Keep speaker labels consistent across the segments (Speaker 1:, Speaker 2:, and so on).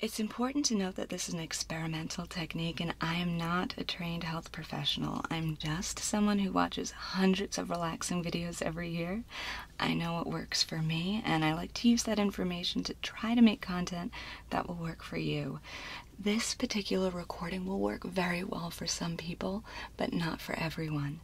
Speaker 1: It's important to note that this is an experimental technique, and I am not a trained health professional. I'm just someone who watches hundreds of relaxing videos every year. I know what works for me, and I like to use that information to try to make content that will work for you. This particular recording will work very well for some people, but not for everyone.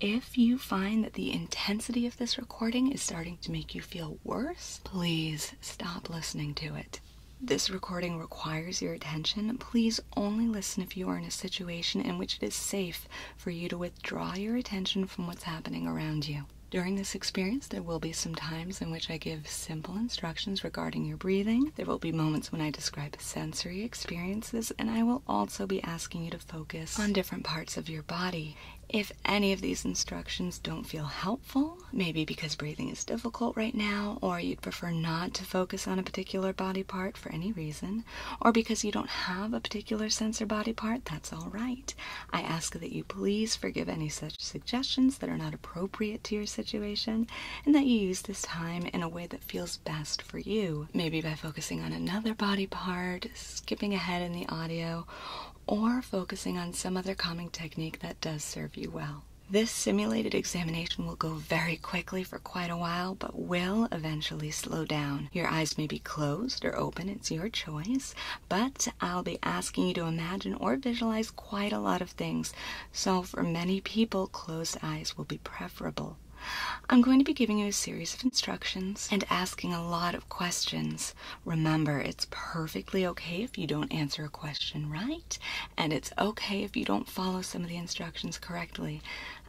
Speaker 1: If you find that the intensity of this recording is starting to make you feel worse, please stop listening to it. This recording requires your attention. Please only listen if you are in a situation in which it is safe for you to withdraw your attention from what's happening around you. During this experience, there will be some times in which I give simple instructions regarding your breathing. There will be moments when I describe sensory experiences, and I will also be asking you to focus on different parts of your body. If any of these instructions don't feel helpful, maybe because breathing is difficult right now, or you'd prefer not to focus on a particular body part for any reason, or because you don't have a particular sense or body part, that's all right. I ask that you please forgive any such suggestions that are not appropriate to your situation and that you use this time in a way that feels best for you. Maybe by focusing on another body part, skipping ahead in the audio, or focusing on some other calming technique that does serve you well. This simulated examination will go very quickly for quite a while, but will eventually slow down. Your eyes may be closed or open, it's your choice, but I'll be asking you to imagine or visualize quite a lot of things. So, for many people, closed eyes will be preferable. I'm going to be giving you a series of instructions and asking a lot of questions. Remember, it's perfectly okay if you don't answer a question right, and it's okay if you don't follow some of the instructions correctly.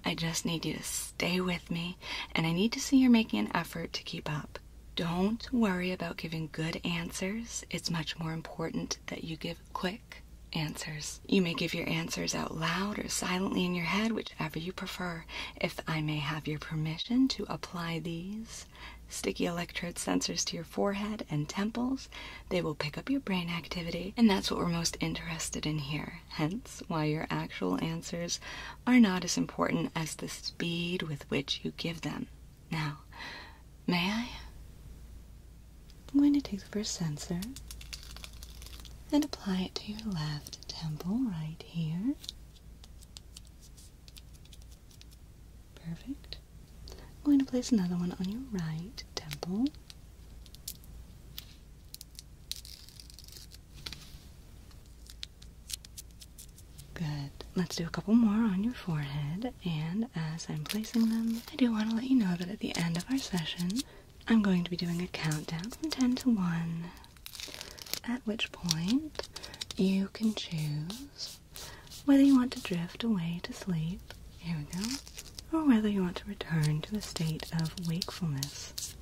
Speaker 1: I just need you to stay with me, and I need to see you're making an effort to keep up. Don't worry about giving good answers. It's much more important that you give quick answers. You may give your answers out loud or silently in your head, whichever you prefer. If I may have your permission to apply these sticky electrode sensors to your forehead and temples, they will pick up your brain activity, and that's what we're most interested in here. Hence, why your actual answers are not as important as the speed with which you give them. Now, may I? I'm going to take the first sensor and apply it to your left temple right here. Perfect. I'm going to place another one on your right temple. Good. Let's do a couple more on your forehead. And as I'm placing them, I do want to let you know that at the end of our session, I'm going to be doing a countdown from 10 to 1. At which point, you can choose whether you want to drift away to sleep, here we go, or whether you want to return to a state of wakefulness.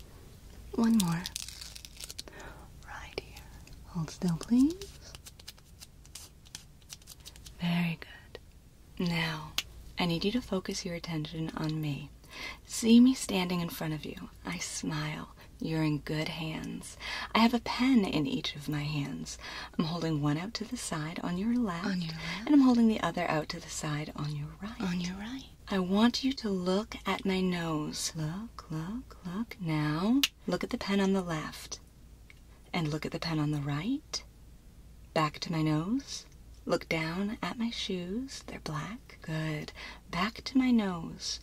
Speaker 1: One more. Right here. Hold still, please. Very good. Now, I need you to focus your attention on me. See me standing in front of you. I smile. You're in good hands. I have a pen in each of my hands. I'm holding one out to the side on your left, on your left. and I'm holding the other out to the side on your right. On your right. I want you to look at my nose. Look, look, look. Now, Look at the pen on the left. And look at the pen on the right. Back to my nose. Look down at my shoes. They're black. Good. Back to my nose.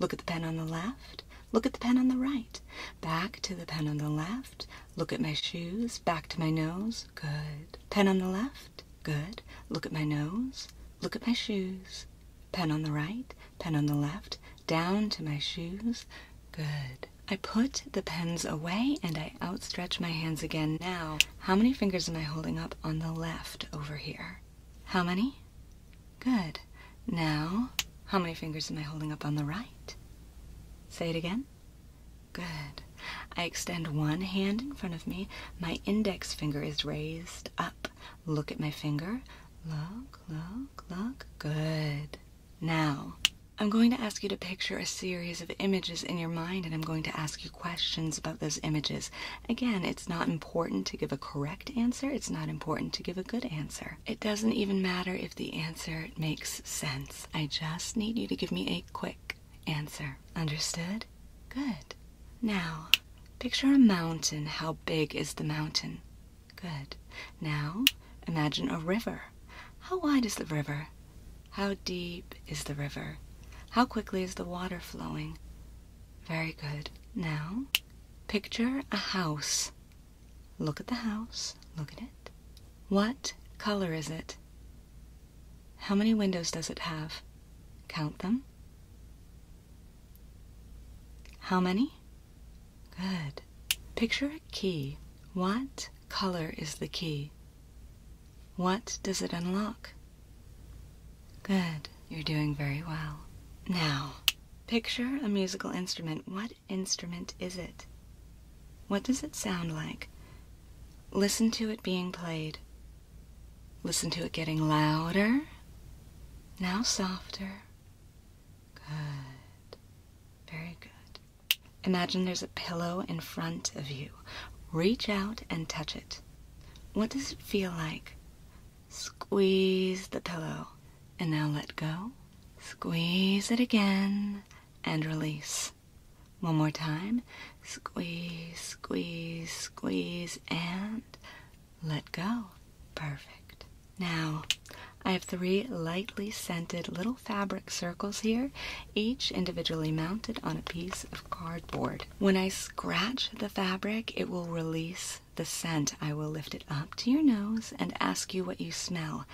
Speaker 1: Look at the pen on the left. Look at the pen on the right. Back to the pen on the left. Look at my shoes. Back to my nose. Good. Pen on the left. Good. Look at my nose. Look at my shoes. Pen on the right, pen on the left, down to my shoes. Good. I put the pens away and I outstretch my hands again. Now, how many fingers am I holding up on the left over here? How many? Good. Now, how many fingers am I holding up on the right? Say it again. Good. I extend one hand in front of me. My index finger is raised up. Look at my finger. Look, look, look. Good. Now, I'm going to ask you to picture a series of images in your mind, and I'm going to ask you questions about those images. Again, it's not important to give a correct answer, it's not important to give a good answer. It doesn't even matter if the answer makes sense. I just need you to give me a quick answer. Understood? Good. Now, picture a mountain. How big is the mountain? Good. Now imagine a river. How wide is the river? How deep is the river? How quickly is the water flowing? Very good. Now picture a house. Look at the house. Look at it. What color is it? How many windows does it have? Count them. How many? Good. Picture a key. What color is the key? What does it unlock? Good. You're doing very well. Now, picture a musical instrument. What instrument is it? What does it sound like? Listen to it being played. Listen to it getting louder, now softer, Good. Very good. Imagine there's a pillow in front of you. Reach out and touch it. What does it feel like? Squeeze the pillow and now let go. Squeeze it again and release. One more time. Squeeze, squeeze, squeeze, and let go. Perfect. Now, I have three lightly scented little fabric circles here, each individually mounted on a piece of cardboard. When I scratch the fabric, it will release the scent. I will lift it up to your nose and ask you what you smell.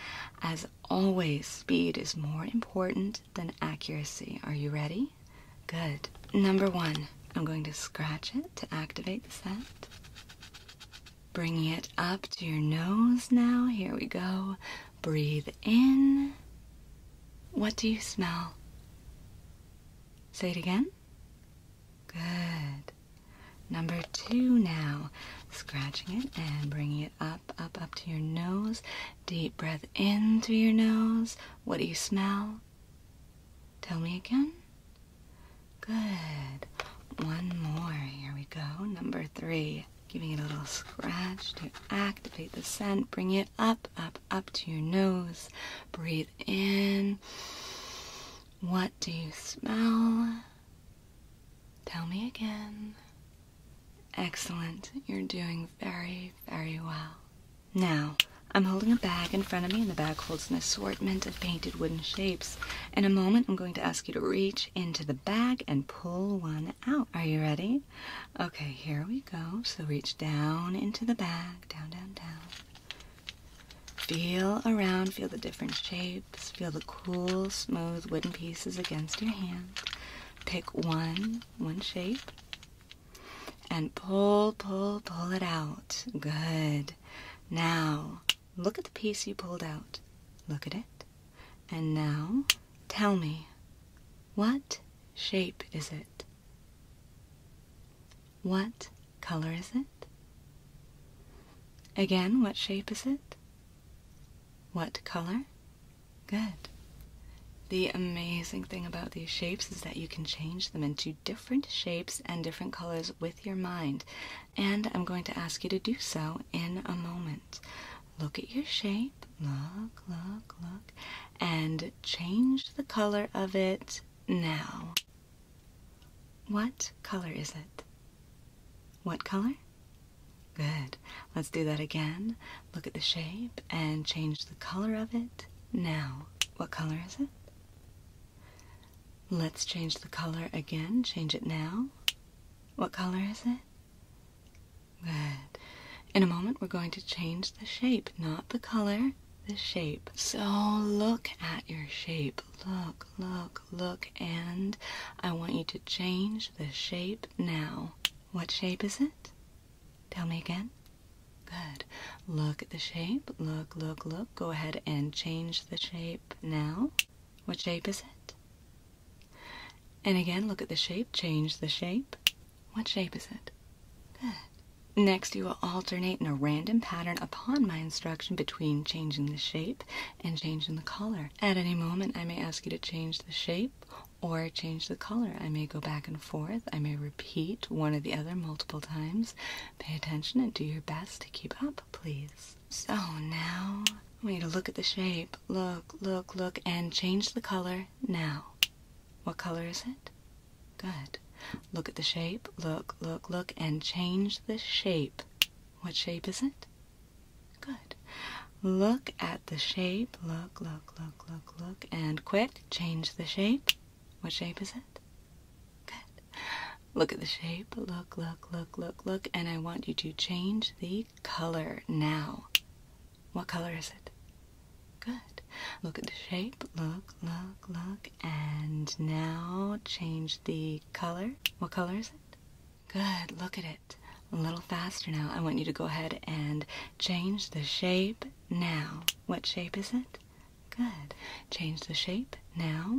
Speaker 1: As always, speed is more important than accuracy. Are you ready? Good. Number one, I'm going to scratch it to activate the scent. Bringing it up to your nose now. Here we go. Breathe in. What do you smell? Say it again. Good. Number two now. Scratching it and bringing it up, up, up to your nose. Deep breath in through your nose. What do you smell? Tell me again. Good. One more. Here we go. Number three. Giving it a little scratch to activate the scent. Bring it up, up, up to your nose. Breathe in. What do you smell? Tell me again. Excellent. You're doing very, very well. Now, I'm holding a bag in front of me, and the bag holds an assortment of painted wooden shapes. In a moment, I'm going to ask you to reach into the bag and pull one out. Are you ready? Okay, here we go. So reach down into the bag, down, down, down. Feel around, feel the different shapes, feel the cool, smooth wooden pieces against your hand. Pick one, one shape, and pull, pull, pull it out. Good. Now, Look at the piece you pulled out. Look at it. And now, tell me, what shape is it? What color is it? Again, what shape is it? What color? Good. The amazing thing about these shapes is that you can change them into different shapes and different colors with your mind and I'm going to ask you to do so in a moment. Look at your shape, look, look, look, and change the color of it now. What color is it? What color? Good. Let's do that again. Look at the shape and change the color of it now. What color is it? Let's change the color again. Change it now. What color is it? Good. In a moment, we're going to change the shape, not the color, the shape. So look at your shape. Look, look, look, and I want you to change the shape now. What shape is it? Tell me again. Good. Look at the shape. Look, look, look. Go ahead and change the shape now. What shape is it? And again, look at the shape. Change the shape. What shape is it? Next, you will alternate in a random pattern upon my instruction between changing the shape and changing the color. At any moment, I may ask you to change the shape or change the color. I may go back and forth. I may repeat one or the other multiple times. Pay attention and do your best to keep up, please. So now I want you to look at the shape. Look, look, look, and change the color now. What color is it? Good. Look at the shape. Look, look, look, and change the shape. What shape is it? Good. Look at the shape. Look, look, look, look, look, and quick, change the shape. What shape is it? Good. Look at the shape. Look, look, look, look, look. And I want you to change the color now. What color is it? Good. Look at the shape. Look, look, look. And now change the color. What color is it? Good. Look at it. A little faster now. I want you to go ahead and change the shape now. What shape is it? Good. Change the shape now.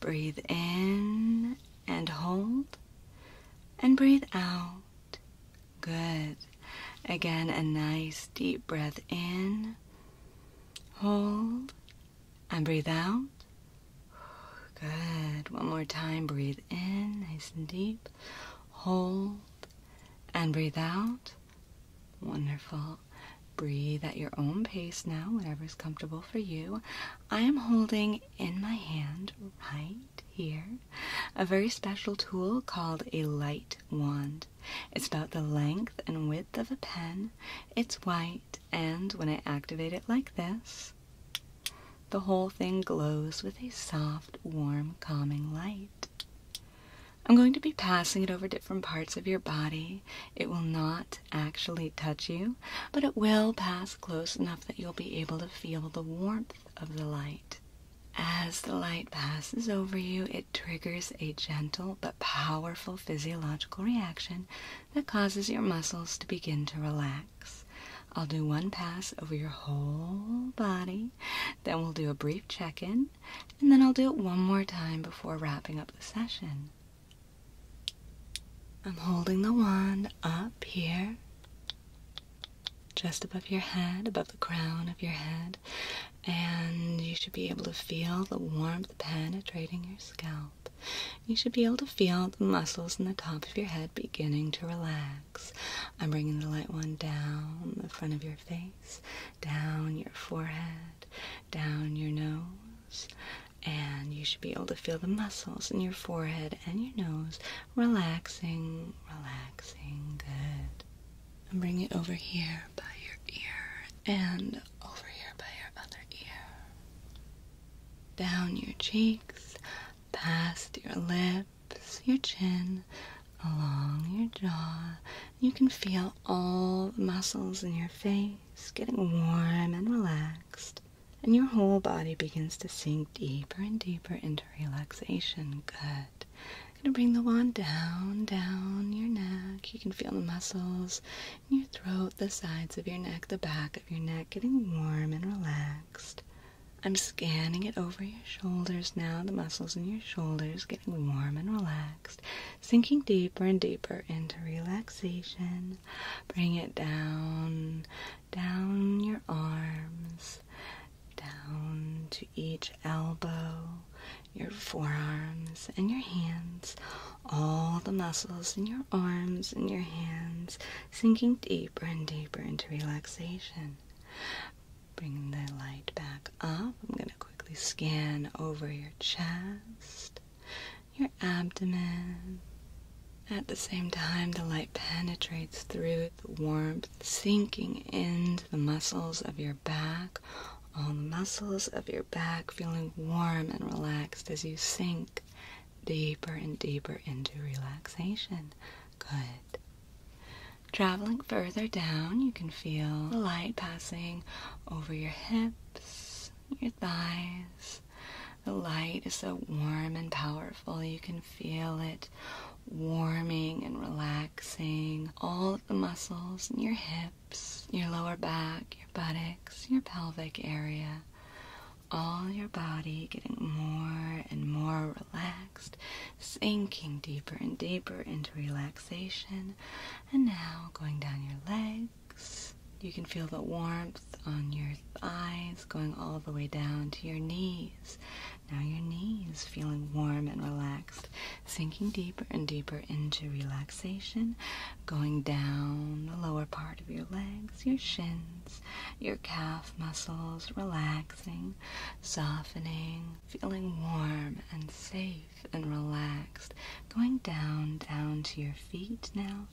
Speaker 1: Breathe in and hold and breathe out. Good. Again, a nice deep breath in. Hold and breathe out. Good. One more time. Breathe in, nice and deep. Hold and breathe out. Wonderful. Breathe at your own pace now, whatever is comfortable for you. I am holding in my hand right here a very special tool called a light wand. It's about the length and width of a pen. It's white, and when I activate it like this, the whole thing glows with a soft, warm, calming light. I'm going to be passing it over different parts of your body it will not actually touch you, but it will pass close enough that you'll be able to feel the warmth of the light. As the light passes over you, it triggers a gentle but powerful physiological reaction that causes your muscles to begin to relax. I'll do one pass over your whole body, then we'll do a brief check in, and then I'll do it one more time before wrapping up the session. I'm holding the wand up here, just above your head, above the crown of your head, and you should be able to feel the warmth penetrating your scalp. You should be able to feel the muscles in the top of your head beginning to relax. I'm bringing the light wand down the front of your face, down your forehead, down your nose, and you should be able to feel the muscles in your forehead and your nose relaxing, relaxing. Good. And bring it over here by your ear and over here by your other ear. Down your cheeks, past your lips, your chin, along your jaw. You can feel all the muscles in your face getting warm and relaxed and your whole body begins to sink deeper and deeper into relaxation. Good. I'm gonna bring the wand down, down your neck. You can feel the muscles in your throat, the sides of your neck, the back of your neck getting warm and relaxed. I'm scanning it over your shoulders now, the muscles in your shoulders getting warm and relaxed, sinking deeper and deeper into relaxation. Bring it down, down your arms, down to each elbow, your forearms, and your hands. All the muscles in your arms and your hands sinking deeper and deeper into relaxation. Bring the light back up. I'm going to quickly scan over your chest your abdomen. At the same time, the light penetrates through the warmth, sinking into the muscles of your back. All the muscles of your back feeling warm and relaxed as you sink deeper and deeper into relaxation. Good. Traveling further down, you can feel the light passing over your hips, your thighs, the light is so warm and powerful, you can feel it warming and relaxing all the muscles in your hips, your lower back, your buttocks, your pelvic area. All your body getting more and more relaxed, sinking deeper and deeper into relaxation. And now going down your legs you can feel the warmth on your thighs going all the way down to your knees. Now your knees feeling warm and relaxed, sinking deeper and deeper into relaxation, going down the lower part of your legs, your shins, your calf muscles relaxing, softening, feeling warm and safe and relaxed, going down down to your feet now,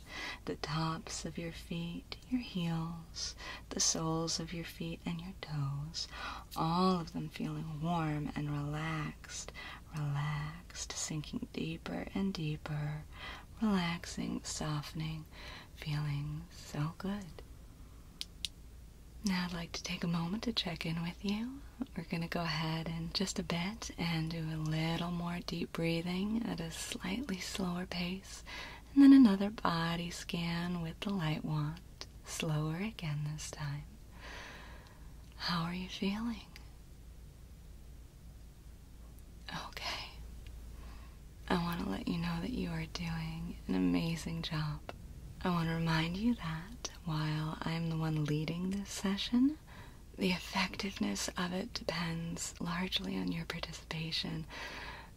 Speaker 1: the tops of your feet, your heels, the soles of your feet, and your toes, all of them feeling warm and relaxed, relaxed, sinking deeper and deeper, relaxing, softening, feeling so good. Now I'd like to take a moment to check in with you. We're going to go ahead and just a bit and do a little more deep breathing at a slightly slower pace, and then another body scan with the light wand. Slower again this time. How are you feeling? Okay. I want to let you know that you are doing an amazing job. I want to remind you that while I'm the one leading this session, the effectiveness of it depends largely on your participation.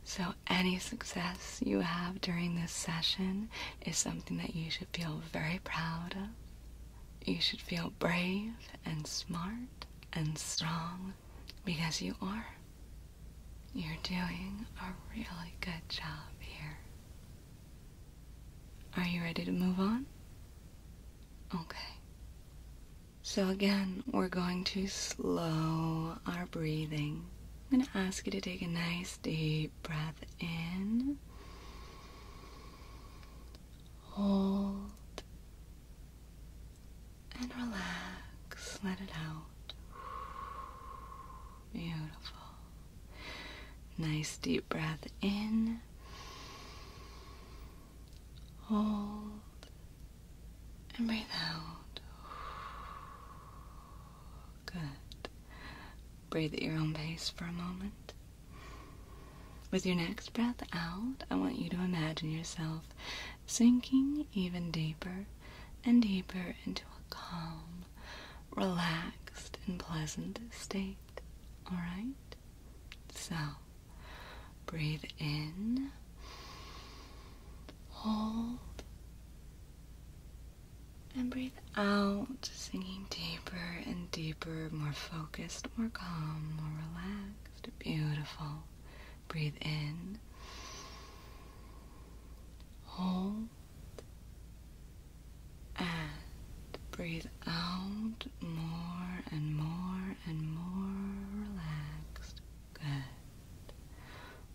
Speaker 1: So, any success you have during this session is something that you should feel very proud of. You should feel brave and smart and strong because you are. You're doing a really good job here. Are you ready to move on? Okay. So, again, we're going to slow our breathing. I'm going to ask you to take a nice deep breath in, hold, and relax. Let it out. Beautiful. Nice deep breath in Hold and breathe out. Good. Breathe at your own pace for a moment. With your next breath out, I want you to imagine yourself sinking even deeper and deeper into a calm, relaxed, and pleasant state. Alright? So, Breathe in, hold, and breathe out, sinking deeper and deeper, more focused, more calm, more relaxed. Beautiful. Breathe in, hold, and breathe out, more and more and more relaxed. Good.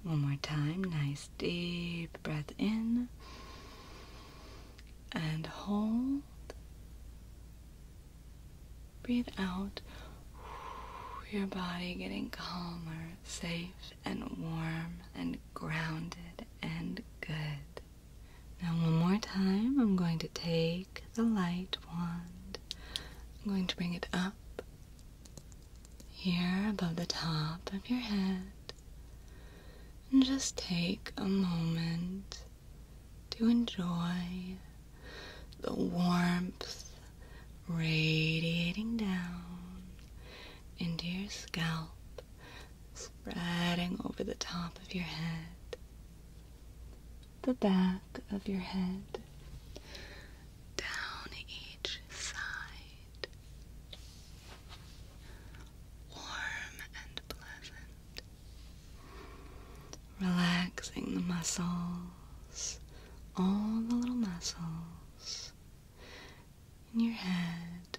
Speaker 1: One more time. Nice deep breath in and hold. Breathe out. Your body getting calmer, safe, and warm, and grounded and good. Now, one more time, I'm going to take take the light wand. I'm going to bring it up here above the top of your head and just take a moment to enjoy the warmth radiating down into your scalp, spreading over the top of your head the back of your head, down each side. Warm and pleasant, relaxing the muscles, all the little muscles in your head,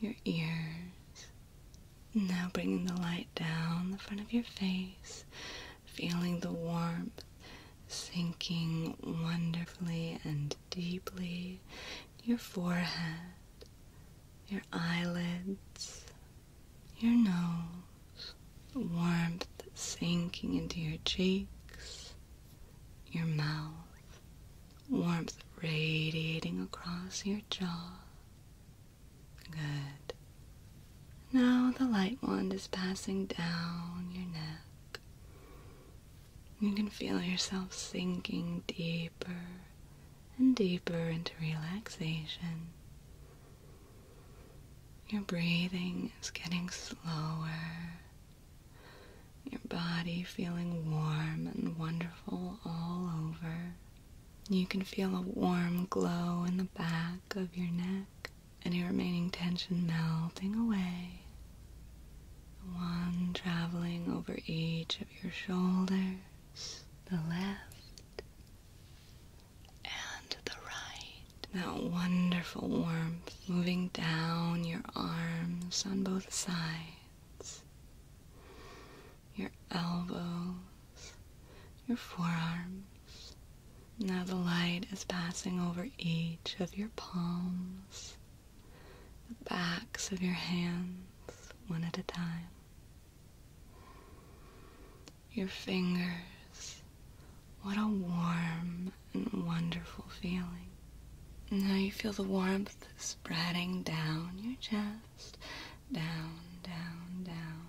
Speaker 1: your ears. Now bringing the light down the front of your face feeling the warmth sinking wonderfully and deeply your forehead, your eyelids, your nose, warmth sinking into your cheeks, your mouth, warmth radiating across your jaw, Good. Now the light wand is passing down your neck. You can feel yourself sinking deeper and deeper into relaxation. Your breathing is getting slower. Your body feeling warm and wonderful all over. You can feel a warm glow in the back of your neck, any remaining tension melting away. The one traveling over each of your shoulders, the left and the right. That wonderful warmth moving down your arms on both sides, your elbow your forearms. Now the light is passing over each of your palms, the backs of your hands, one at a time. Your fingers. What a warm and wonderful feeling. Now you feel the warmth spreading down your chest, down, down, down.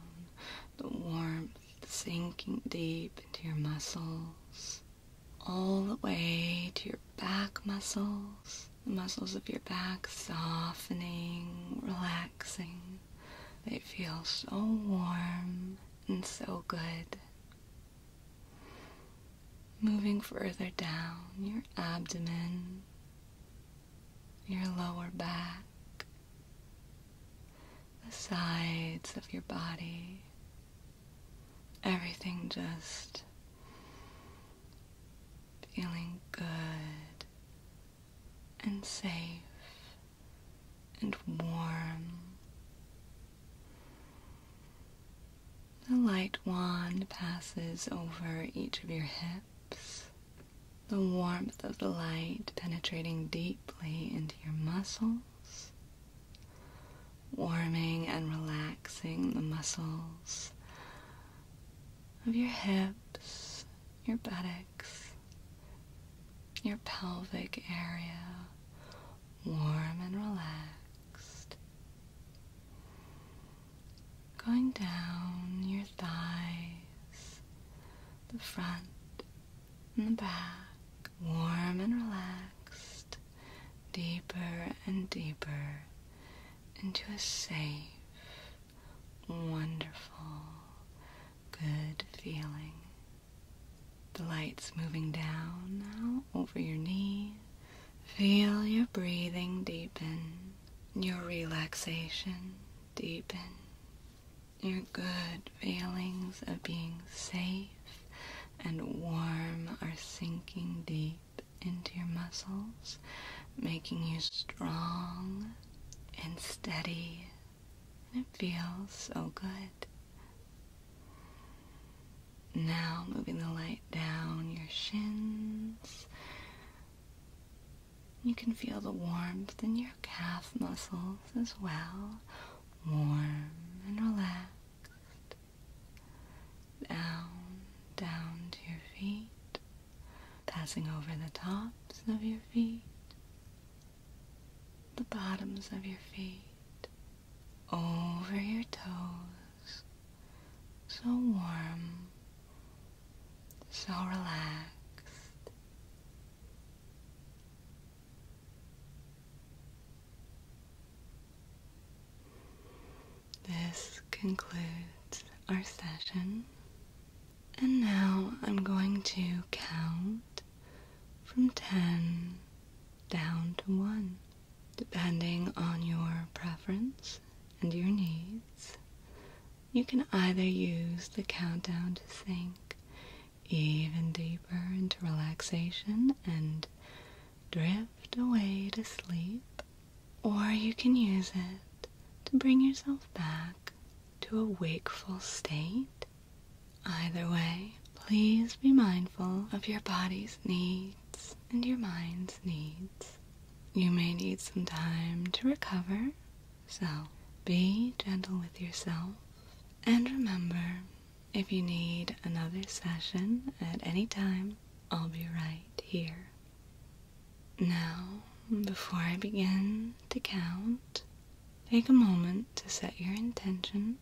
Speaker 1: The warmth sinking deep into your muscles, all the way to your back muscles, the muscles of your back softening, relaxing. They feel so warm and so good. Moving further down your abdomen, your lower back, the sides of your body. Everything just feeling good and safe and warm. The light wand passes over each of your hips, the warmth of the light penetrating deep into your muscles, warming and relaxing the muscles of your hips, your buttocks, your pelvic area, warm and relaxed. Going down your thighs, the front and the back, warm and relaxed, deeper and deeper into a safe, wonderful, good feeling. The light's moving down now over your knee. Feel your breathing deepen, your relaxation deepen. Your good feelings of being safe and warm are sinking deep into your muscles, making you strong and steady. It feels so good. Now moving the light down your shins. You can feel the warmth in your calf muscles as well, warm and relaxed. Down, down to your feet, passing over the tops of your feet, the bottoms of your feet, over your toes. So warm, so relaxed. This concludes our session. And now I'm going to count from 10 down to 1, depending on your preference and your needs. You can either use the countdown to sync even deeper into relaxation and drift away to sleep. Or you can use it to bring yourself back to a wakeful state. Either way, please be mindful of your body's needs and your mind's needs. You may need some time to recover, so be gentle with yourself and remember if you need another session at any time, I'll be right here. Now, before I begin to count, take a moment to set your intention.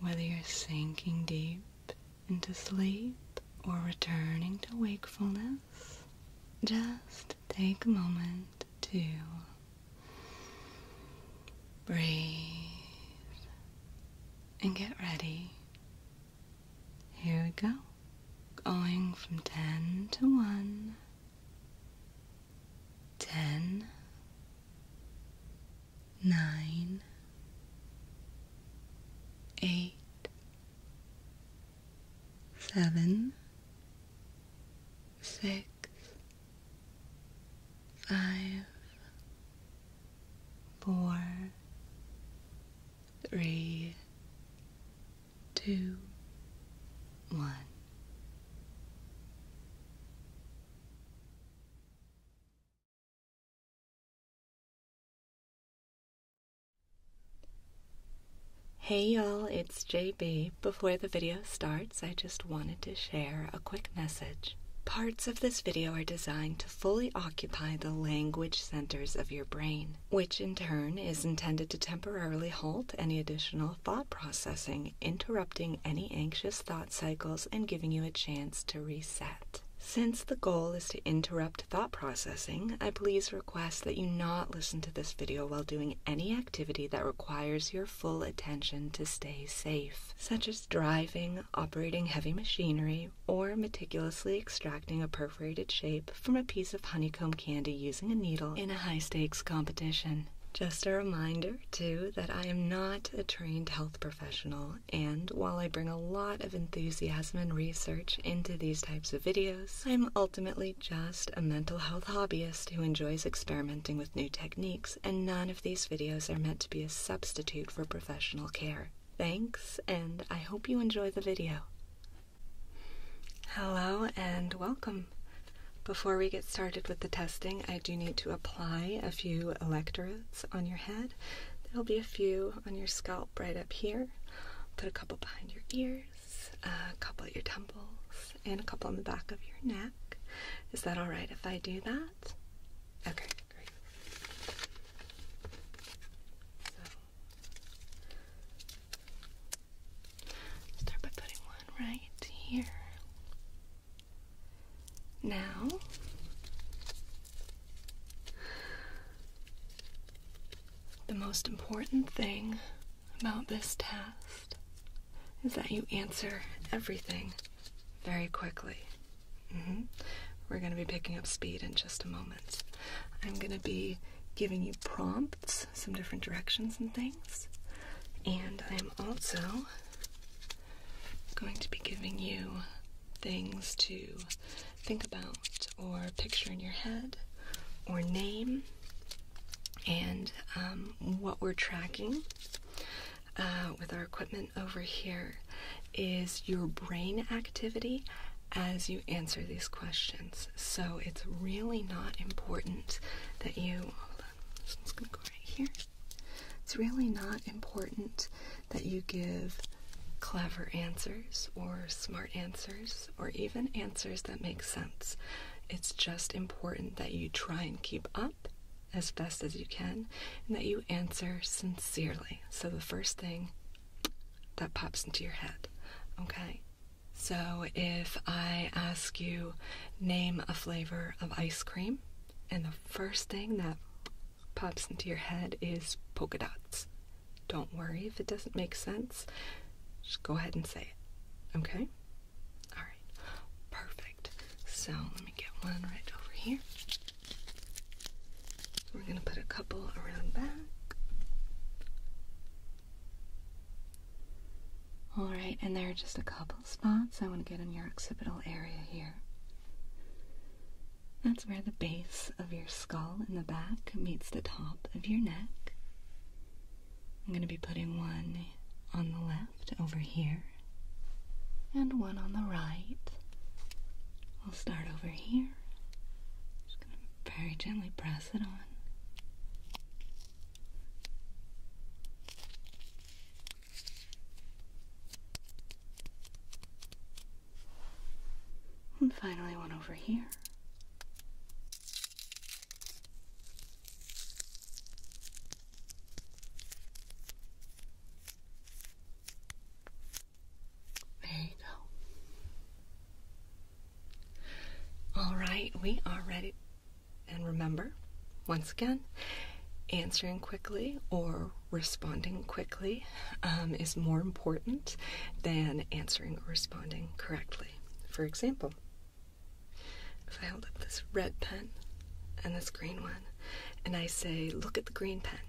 Speaker 1: Whether you're sinking deep into sleep or returning to wakefulness, just take a moment to Breathe and get ready. Here we go. Going from 10 to 1. 10, 9, 8, 7, six, five, four, three, two, one. Hey y'all, it's JB before the video starts, I just wanted to share a quick message. Parts of this video are designed to fully occupy the language centers of your brain, which in turn is intended to temporarily halt any additional thought processing, interrupting any anxious thought cycles, and giving you a chance to reset. Since the goal is to interrupt thought processing, I please request that you not listen to this video while doing any activity that requires your full attention to stay safe, such as driving, operating heavy machinery, or meticulously extracting a perforated shape from a piece of honeycomb candy using a needle in a high stakes competition. Just a reminder, too, that I am not a trained health professional, and while I bring a lot of enthusiasm and research into these types of videos, I'm ultimately just a mental health hobbyist who enjoys experimenting with new techniques, and none of these videos are meant to be a substitute for professional care. Thanks, and I hope you enjoy the video. Hello and welcome. Before we get started with the testing, I do need to apply a few electrodes on your head. There'll be a few on your scalp right up here. Put a couple behind your ears, a couple at your temples, and a couple on the back of your neck. Is that all right if I do that? Okay, great. start by putting one right here. Now, the most important thing about this test is that you answer everything very quickly. Mm-hmm. We're going to be picking up speed in just a moment. I'm going to be giving you prompts, some different directions and things. And I'm also going to be giving you things to think about or picture in your head or name and um, what we're tracking uh, with our equipment over here is your brain activity as you answer these questions. So it's really not important that you. Hold gonna go right here. It's really not important that you give clever answers or smart answers or even answers that make sense. It's just important that you try and keep up as best as you can and that you answer sincerely. So, the first thing that pops into your head, okay? So, if I ask you, name a flavor of ice cream, and the first thing that pops into your head is polka dots. Don't worry if it doesn't make sense. Just go ahead and say it, okay? Alright, perfect. So let me get one right over here. We're going to put a couple around back. Alright, and there are just a couple spots I want to get in your occipital area here. That's where the base of your skull in the back meets the top of your neck. I'm going to be putting one on the left over here and one on the right. I'll start over here. Just going to very gently press it on. And finally one over here. There you go. All right, we are ready. And remember, once again, answering quickly or responding quickly um, is more important than answering or responding correctly. For example, if I hold up this red pen and this green one, and I say, Look at the green pen,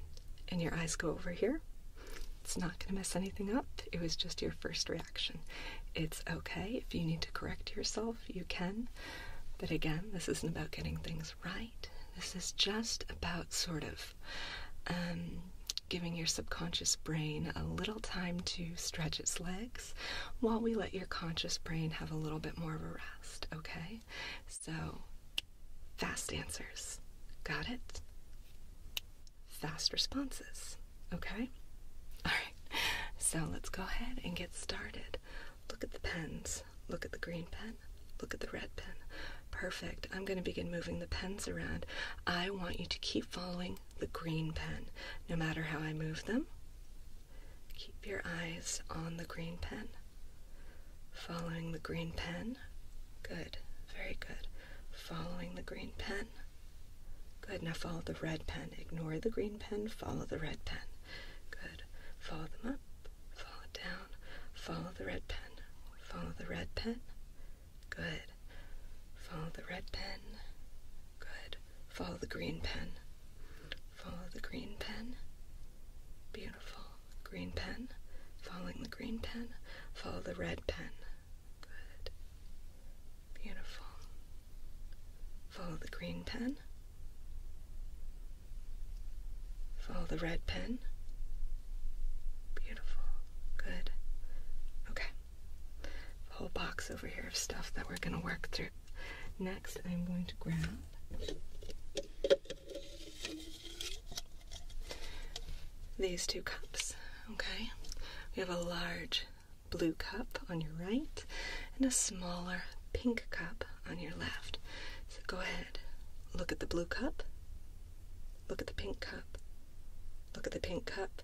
Speaker 1: and your eyes go over here, it's not going to mess anything up. It was just your first reaction. It's okay. If you need to correct yourself, you can. But again, this isn't about getting things right. This is just about sort of um, giving your subconscious brain a little time to stretch its legs while we let your conscious brain have a little bit more of a rest, okay? So, fast answers. Got it? Fast responses, okay? All right. So, let's go ahead and get started. Look at the pens. Look at the green pen. Look at the red pen. Perfect. I'm going to begin moving the pens around. I want you to keep following the green pen. No matter how I move them, Keep your eyes on the green pen. Following the green pen. Good. Very good. Following the green pen. Good. Now follow the red pen. Ignore the green pen. Follow the red pen. Good. Follow them up. Follow it down. Follow the red pen. Follow the red pen. Good. Follow the red pen. Good. Follow the green pen. Follow the green pen. Beautiful. Green pen. Following the green pen. Follow the red pen. Good. Beautiful. Follow the green pen. Follow the red pen. Beautiful. Good. Okay. whole box over here of stuff that we're going to work through. Next, I'm going to grab these two cups. Okay, we have a large blue cup on your right and a smaller pink cup on your left. So go ahead, look at the blue cup, look at the pink cup, look at the pink cup,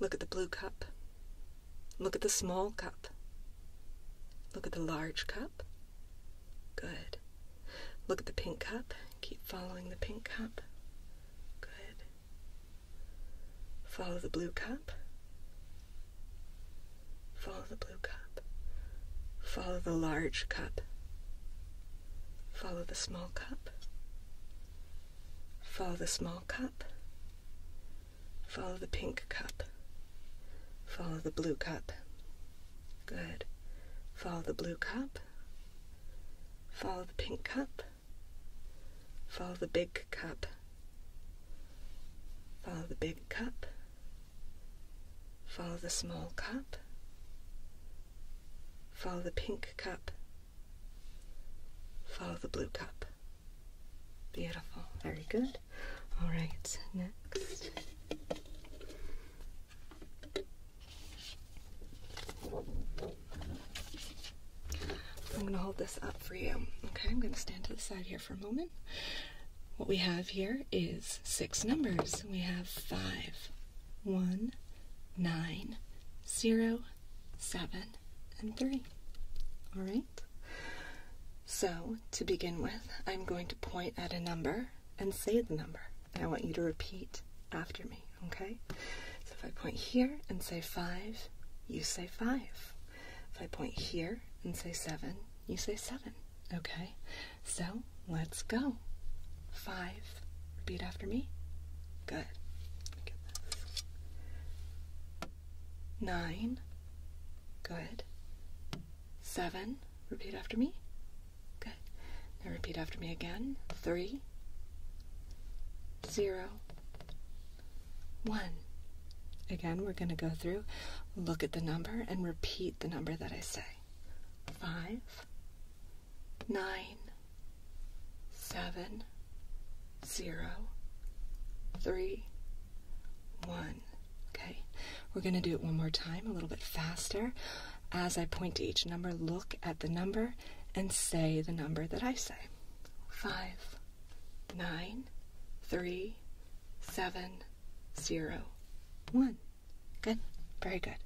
Speaker 1: look at the blue cup, look at the small cup, Look at the large cup. Good. Look at the pink cup. Keep following the pink cup. Good. Follow the blue cup. Follow the blue cup. Follow the large cup. Follow the small cup. Follow the small cup. Follow the pink cup. Follow the blue cup. Good. Follow the blue cup. Follow the pink cup. Follow the big cup. Follow the big cup. Follow the small cup. Follow the pink cup. Follow the blue cup. Beautiful. Very good. All right, next. I'm going to hold this up for you. Okay, I'm going to stand to the side here for a moment. What we have here is six numbers. We have five, one, nine, zero, seven, and three. All right. So, to begin with, I'm going to point at a number and say the number. And I want you to repeat after me, okay? So if I point here and say 5, you say 5. If I point here and say 7, you say 7, okay? So, let's go. 5. Repeat after me. Good. 9. Good seven. Repeat after me. Good. Now repeat after me again. Three, zero, one. Again, we're going to go through, look at the number, and repeat the number that I say. Five, nine, seven, zero, three, one. Okay, we're going to do it one more time, a little bit faster. As I point to each number, look at the number and say the number that I say five, nine, three, seven, zero, one. Good, very good.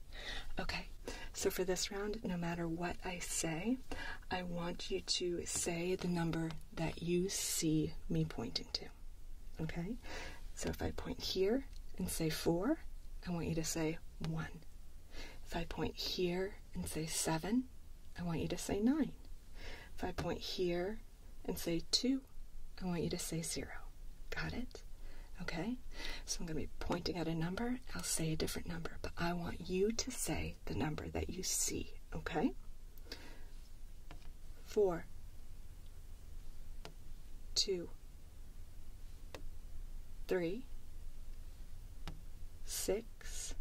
Speaker 1: Okay, so for this round, no matter what I say, I want you to say the number that you see me pointing to. Okay? So if I point here and say four, I want you to say one. If I point here and say seven, I want you to say nine. If I point here and say two, I want you to say zero. Got it? Okay? So I'm going to be pointing at a number. I'll say a different number, but I want you to say the number that you see. Okay? four, two, three, six,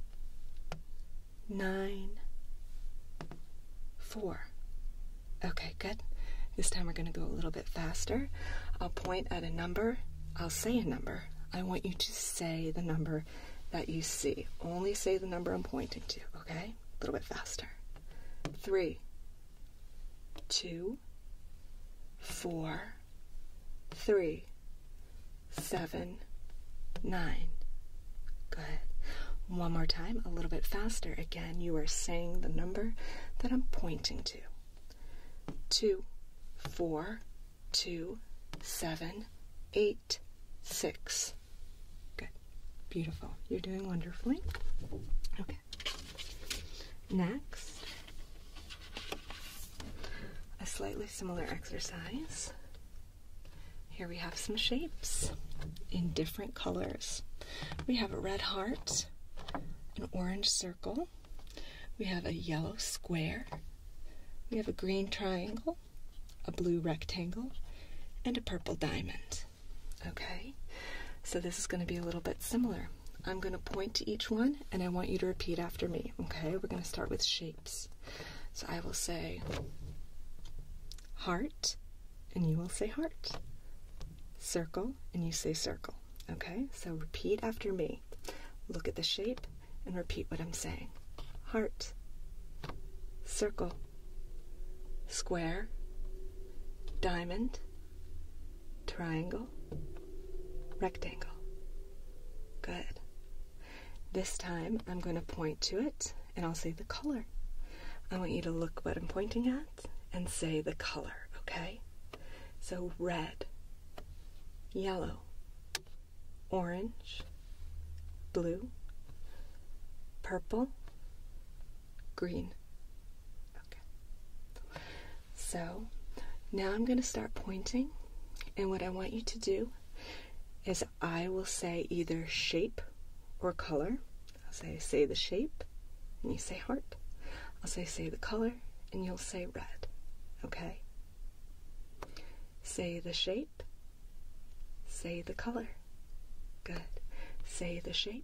Speaker 1: nine, four. Okay, good. This time we're going to go a little bit faster. I'll point at a number. I'll say a number. I want you to say the number that you see. Only say the number I'm pointing to, okay? A little bit faster. Three, two, four, three, seven, nine. Good. One more time, a little bit faster. Again, you are saying the number that I'm pointing to. Two, four, two, seven, eight, six. Good. Beautiful. You're doing wonderfully. Okay. Next, a slightly similar exercise. Here we have some shapes in different colors. We have a red heart, an orange circle, we have a yellow square, we have a green triangle, a blue rectangle, and a purple diamond. Okay? So this is going to be a little bit similar. I'm going to point to each one and I want you to repeat after me. Okay? We're going to start with shapes. So I will say heart and you will say heart. Circle and you say circle. Okay? So repeat after me. Look at the shape and repeat what I'm saying. Heart. Circle square, diamond, triangle, rectangle. Good. This time I'm going to point to it and I'll say the color. I want you to look what I'm pointing at and say the color, okay? So red, yellow, orange, blue, purple, green. Okay. So now I'm going to start pointing, and what I want you to do is I will say either shape or color. I'll say, say the shape, and you say heart. I'll say, say the color, and you'll say red. Okay? Say the shape, say the color. Good. Say the shape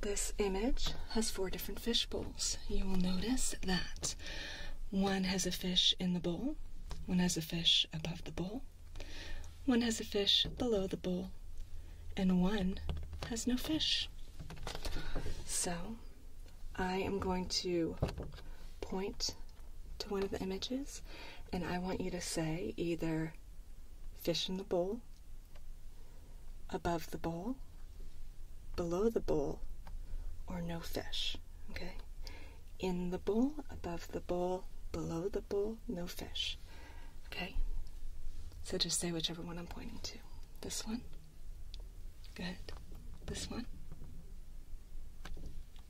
Speaker 1: This image has four different fish bowls. You will notice that one has a fish in the bowl, one has a fish above the bowl, one has a fish below the bowl, and one has no fish. So I am going to point to one of the images, and I want you to say either fish in the bowl, above the bowl, below the bowl, or no fish. Okay? In the bowl, above the bowl, below the bowl, no fish. Okay? So just say whichever one I'm pointing to. This one. Good. This one.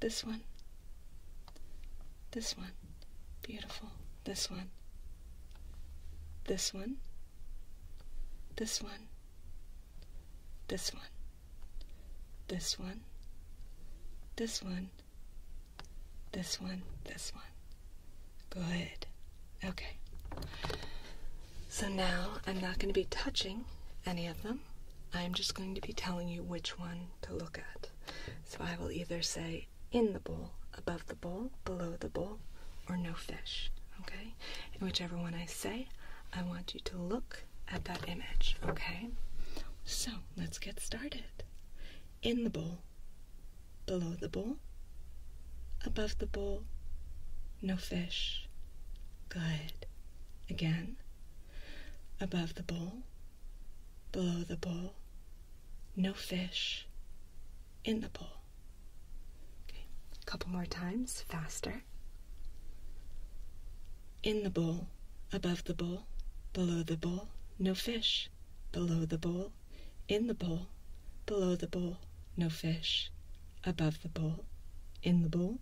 Speaker 1: This one. This one. Beautiful. This one. This one. This one. This one. This one. This one. This one. This one. Good. Okay. So now I'm not going to be touching any of them. I'm just going to be telling you which one to look at. So I will either say in the bowl, above the bowl, below the bowl, or no fish. Okay? whichever one I say, I want you to look at that image. Okay? So let's get started. In the bowl, below the bowl, above the bowl, no fish. Good. Again. Above the bowl, below the bowl, no fish in the bowl. Okay, a couple more times, faster. In the bowl, above the bowl, below the bowl, no fish. Below the bowl, in the bowl, below the bowl, no fish. Above the bowl, in the bowl,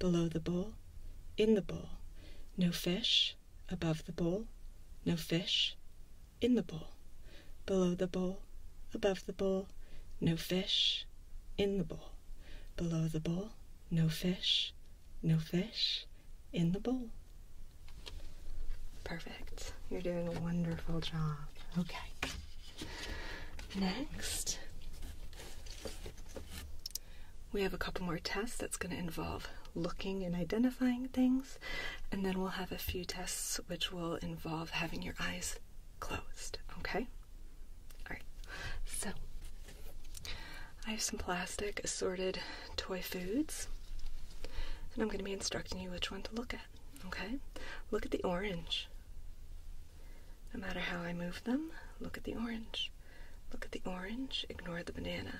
Speaker 1: below the bowl, in the bowl, no fish. Above the bowl, no fish in the bowl, below the bowl, above the bowl, no fish, in the bowl, below the bowl, no fish, no fish, in the bowl. Perfect. You're doing a wonderful job. Okay. Next, we have a couple more tests that's going to involve looking and identifying things and then we'll have a few tests which will involve having your eyes closed. Okay? Alright, so I have some plastic assorted toy foods, and I'm going to be instructing you which one to look at. Okay? Look at the orange. No matter how I move them, look at the orange. Look at the orange, ignore the banana.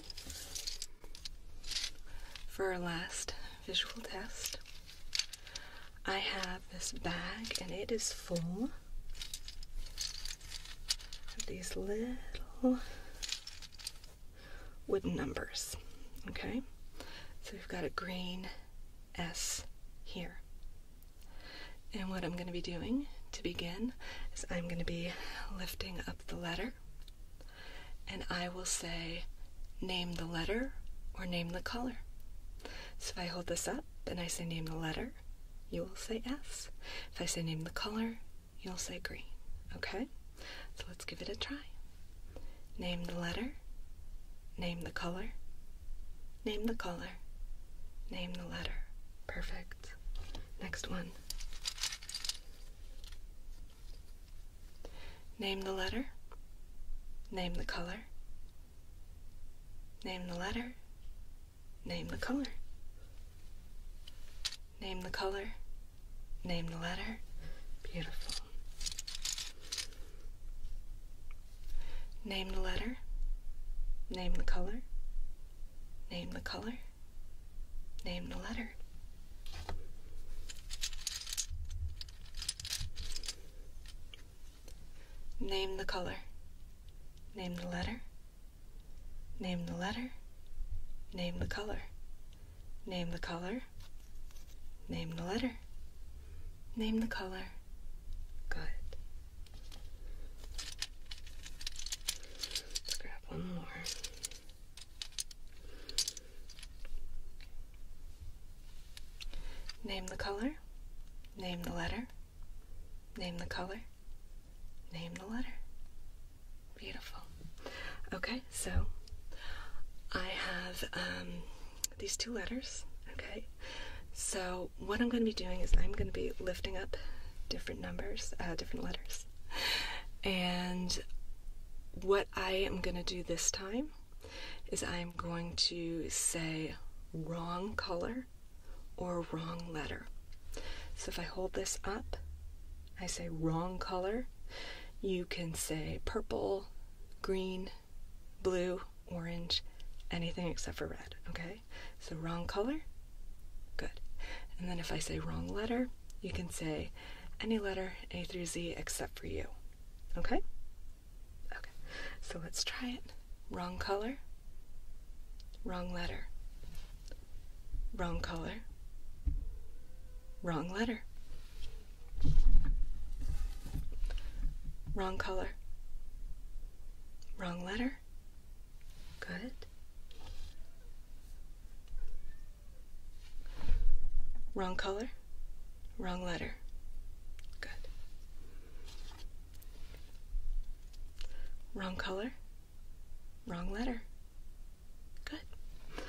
Speaker 1: for our last visual test, I have this bag and it is full of these little wooden numbers. Okay? So we've got a green S here. And what I'm going to be doing to begin is I'm going to be lifting up the letter and I will say, name the letter or name the color. So if I hold this up and I say, name the letter, you will say S. If I say, name the color, you'll say green. Okay? So let's give it a try. Name the letter, name the color, name the color, name the letter. Perfect. Next one. Name the letter. Name the color. Name the letter. Name the color. Name the color. Name the letter. Beautiful. Name the letter. Name the color. Name the color. Name the letter. Name the color. Name the letter. Name the letter. Name the color. Name the color. Name the letter. Name the color. Good. grab one more. Name the color, name the letter, name the color, name the letter. Beautiful. Okay, so I have um, these two letters, okay? So what I'm going to be doing is I'm going to be lifting up different numbers, uh, different letters. And what I am going to do this time is I am going to say wrong color or wrong letter. So if I hold this up, I say wrong color. You can say purple, green, blue, orange, anything except for red, okay? So wrong color, good. And then if I say wrong letter, you can say any letter A through Z except for you. Okay? Okay. So let's try it. Wrong color. Wrong letter. Wrong color. Wrong letter. Wrong color. Wrong letter. Good. Wrong color? Wrong letter. Good. Wrong color? Wrong letter. Good.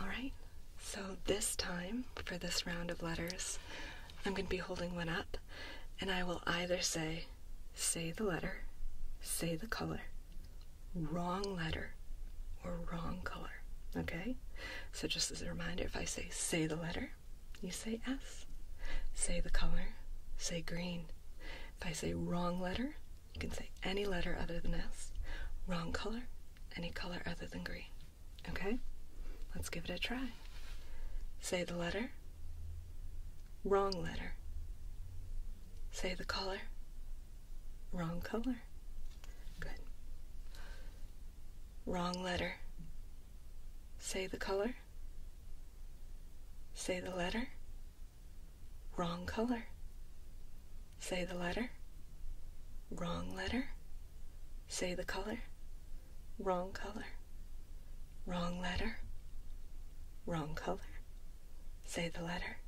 Speaker 1: All right. So this time, for this round of letters, I'm going to be holding one up, and I will either say, say the letter, say the color, wrong letter, or wrong color. Okay? So, just as a reminder, if I say say the letter, you say S. Say the color, say green. If I say wrong letter, you can say any letter other than S. Wrong color, any color other than green. Okay? Let's give it a try. Say the letter, wrong letter. Say the color, wrong color. Good. Wrong letter. Say the color. Say the letter. Wrong color. Say the letter. Wrong letter. Say the color. Wrong color. Wrong letter. Wrong color. Say the letter.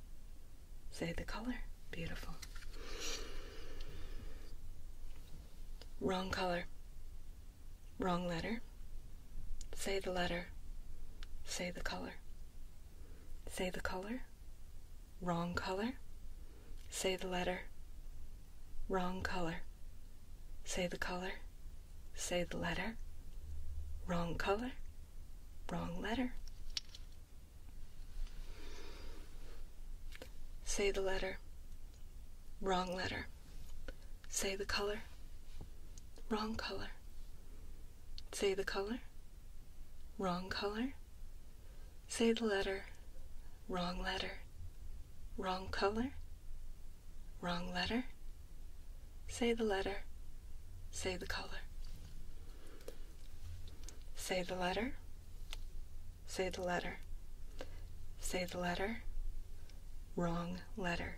Speaker 1: Say the color. Beautiful. Wrong color. Wrong letter. Say the letter. Say the color. Say the color. Wrong color. Say the letter. Wrong color. Say the color. Say the letter. Wrong color. Wrong letter. Say the letter. Wrong letter. Say the color. Wrong color. Say the color. Wrong color. Say the letter. Wrong letter. Wrong color. Wrong letter. Say the letter. Say the color. Say the letter. Say the letter. Say the letter. Wrong letter.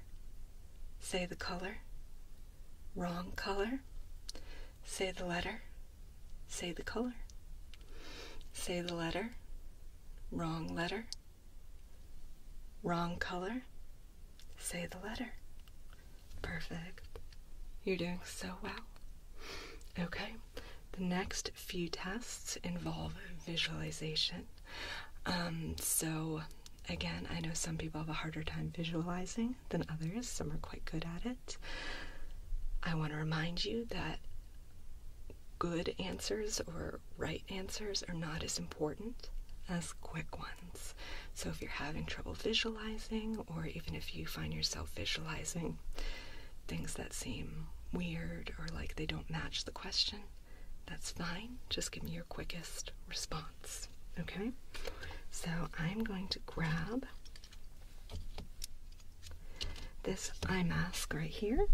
Speaker 1: Say the color. Wrong color. Say the letter. Say the color. Say the letter. Wrong letter. Wrong color. Say the letter. Perfect. You're doing so well. Okay. The next few tests involve visualization. Um, so, again, I know some people have a harder time visualizing than others, some are quite good at it. I want to remind you that good answers or right answers are not as important as quick ones. So, if you're having trouble visualizing, or even if you find yourself visualizing things that seem weird or like they don't match the question, that's fine. Just give me your quickest response. Okay? So I'm going to grab this eye mask right here.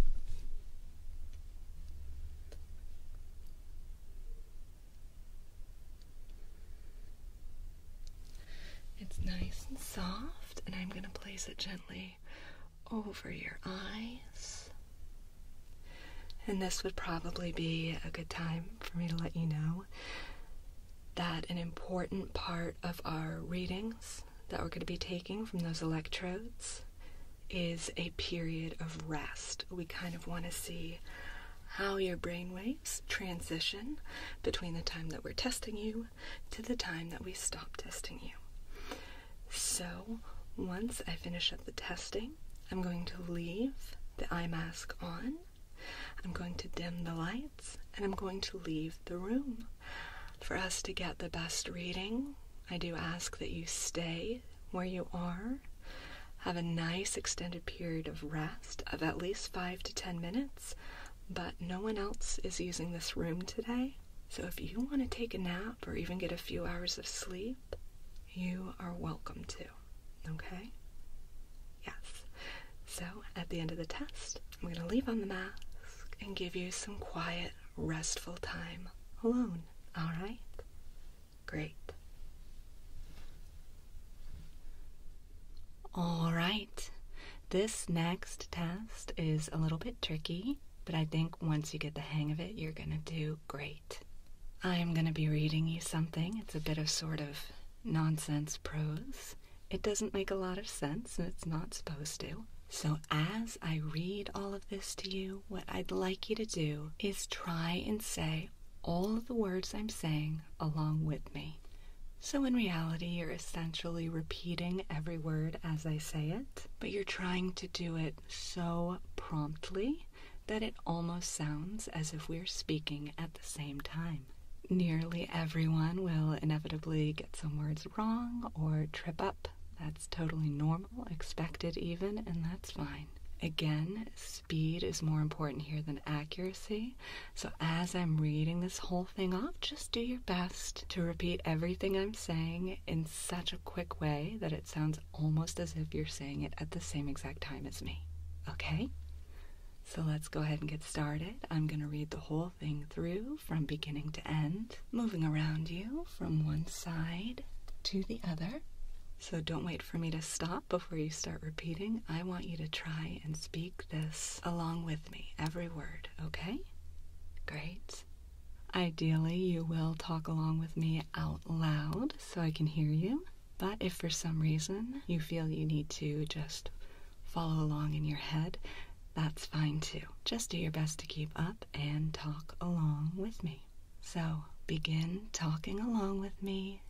Speaker 1: It's nice and soft, and I'm going to place it gently over your eyes. And this would probably be a good time for me to let you know that an important part of our readings that we're going to be taking from those electrodes is a period of rest. We kind of want to see how your brain waves transition between the time that we're testing you to the time that we stop testing you. So, once I finish up the testing, I'm going to leave the eye mask on, I'm going to dim the lights, and I'm going to leave the room. For us to get the best reading, I do ask that you stay where you are, have a nice extended period of rest of at least five to ten minutes but no one else is using this room today. So if you want to take a nap or even get a few hours of sleep, you are welcome to. Okay? Yes. So at the end of the test, I'm going to leave on the mask and give you some quiet, restful time alone. All right? Great. All right. This next test is a little bit tricky, but I think once you get the hang of it, you're going to do great. I'm going to be reading you something. It's a bit of sort of nonsense prose. It doesn't make a lot of sense, and it's not supposed to. So, as I read all of this to you, what I'd like you to do is try and say all of the words I'm saying along with me. So, in reality, you're essentially repeating every word as I say it, but you're trying to do it so promptly that it almost sounds as if we're speaking at the same time. Nearly everyone will inevitably get some words wrong or trip up. That's totally normal, expected even, and that's fine. Again, speed is more important here than accuracy. So, as I'm reading this whole thing off, just do your best to repeat everything I'm saying in such a quick way that it sounds almost as if you're saying it at the same exact time as me. Okay? So let's go ahead and get started. I'm going to read the whole thing through from beginning to end, moving around you from one side to the other. So don't wait for me to stop before you start repeating. I want you to try and speak this along with me, every word, okay? Great. Ideally, you will talk along with me out loud so I can hear you. But if for some reason you feel you need to just follow along in your head, that's fine too. Just do your best to keep up and talk along with me. So begin talking along with me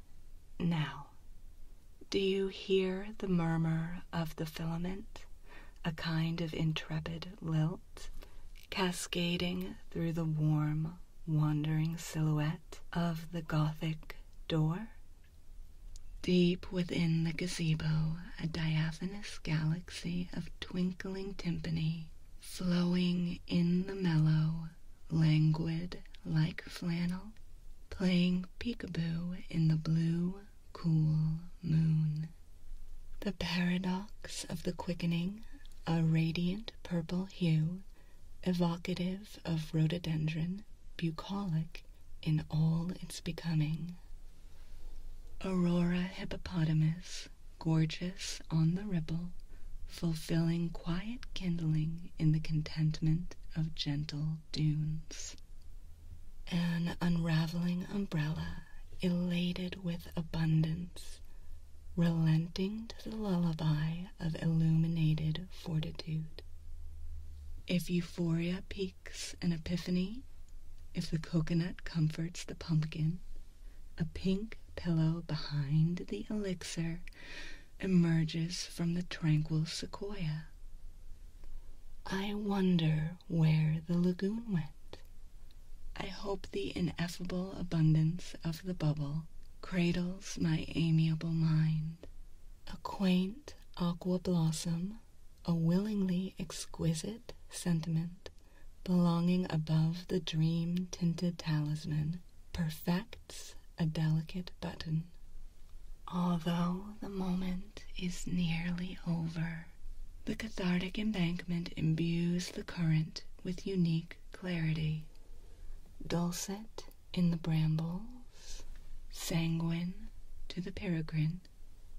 Speaker 1: now. Do you hear the murmur of the filament? a kind of intrepid lilt, cascading through the warm, wandering silhouette of the Gothic door. Deep within the gazebo, a diaphanous galaxy of twinkling timpani, flowing in the mellow, languid like flannel, playing peekaboo in the blue cool moon. The paradox of the quickening, a radiant purple hue, evocative of rhododendron, bucolic in all its becoming. Aurora hippopotamus, gorgeous on the ripple, fulfilling quiet kindling in the contentment of gentle dunes an unraveling umbrella, elated with abundance, relenting to the lullaby of illuminated fortitude. If euphoria peaks an epiphany, if the coconut comforts the pumpkin, a pink pillow behind the elixir emerges from the tranquil sequoia. I wonder where the lagoon went. I hope the ineffable abundance of the bubble cradles my amiable mind. A quaint aqua blossom, a willingly exquisite sentiment belonging above the dream tinted talisman, perfects a delicate button. Although the moment is nearly over, the cathartic embankment imbues the current with unique clarity. Dulcet in the brambles, sanguine to the peregrine,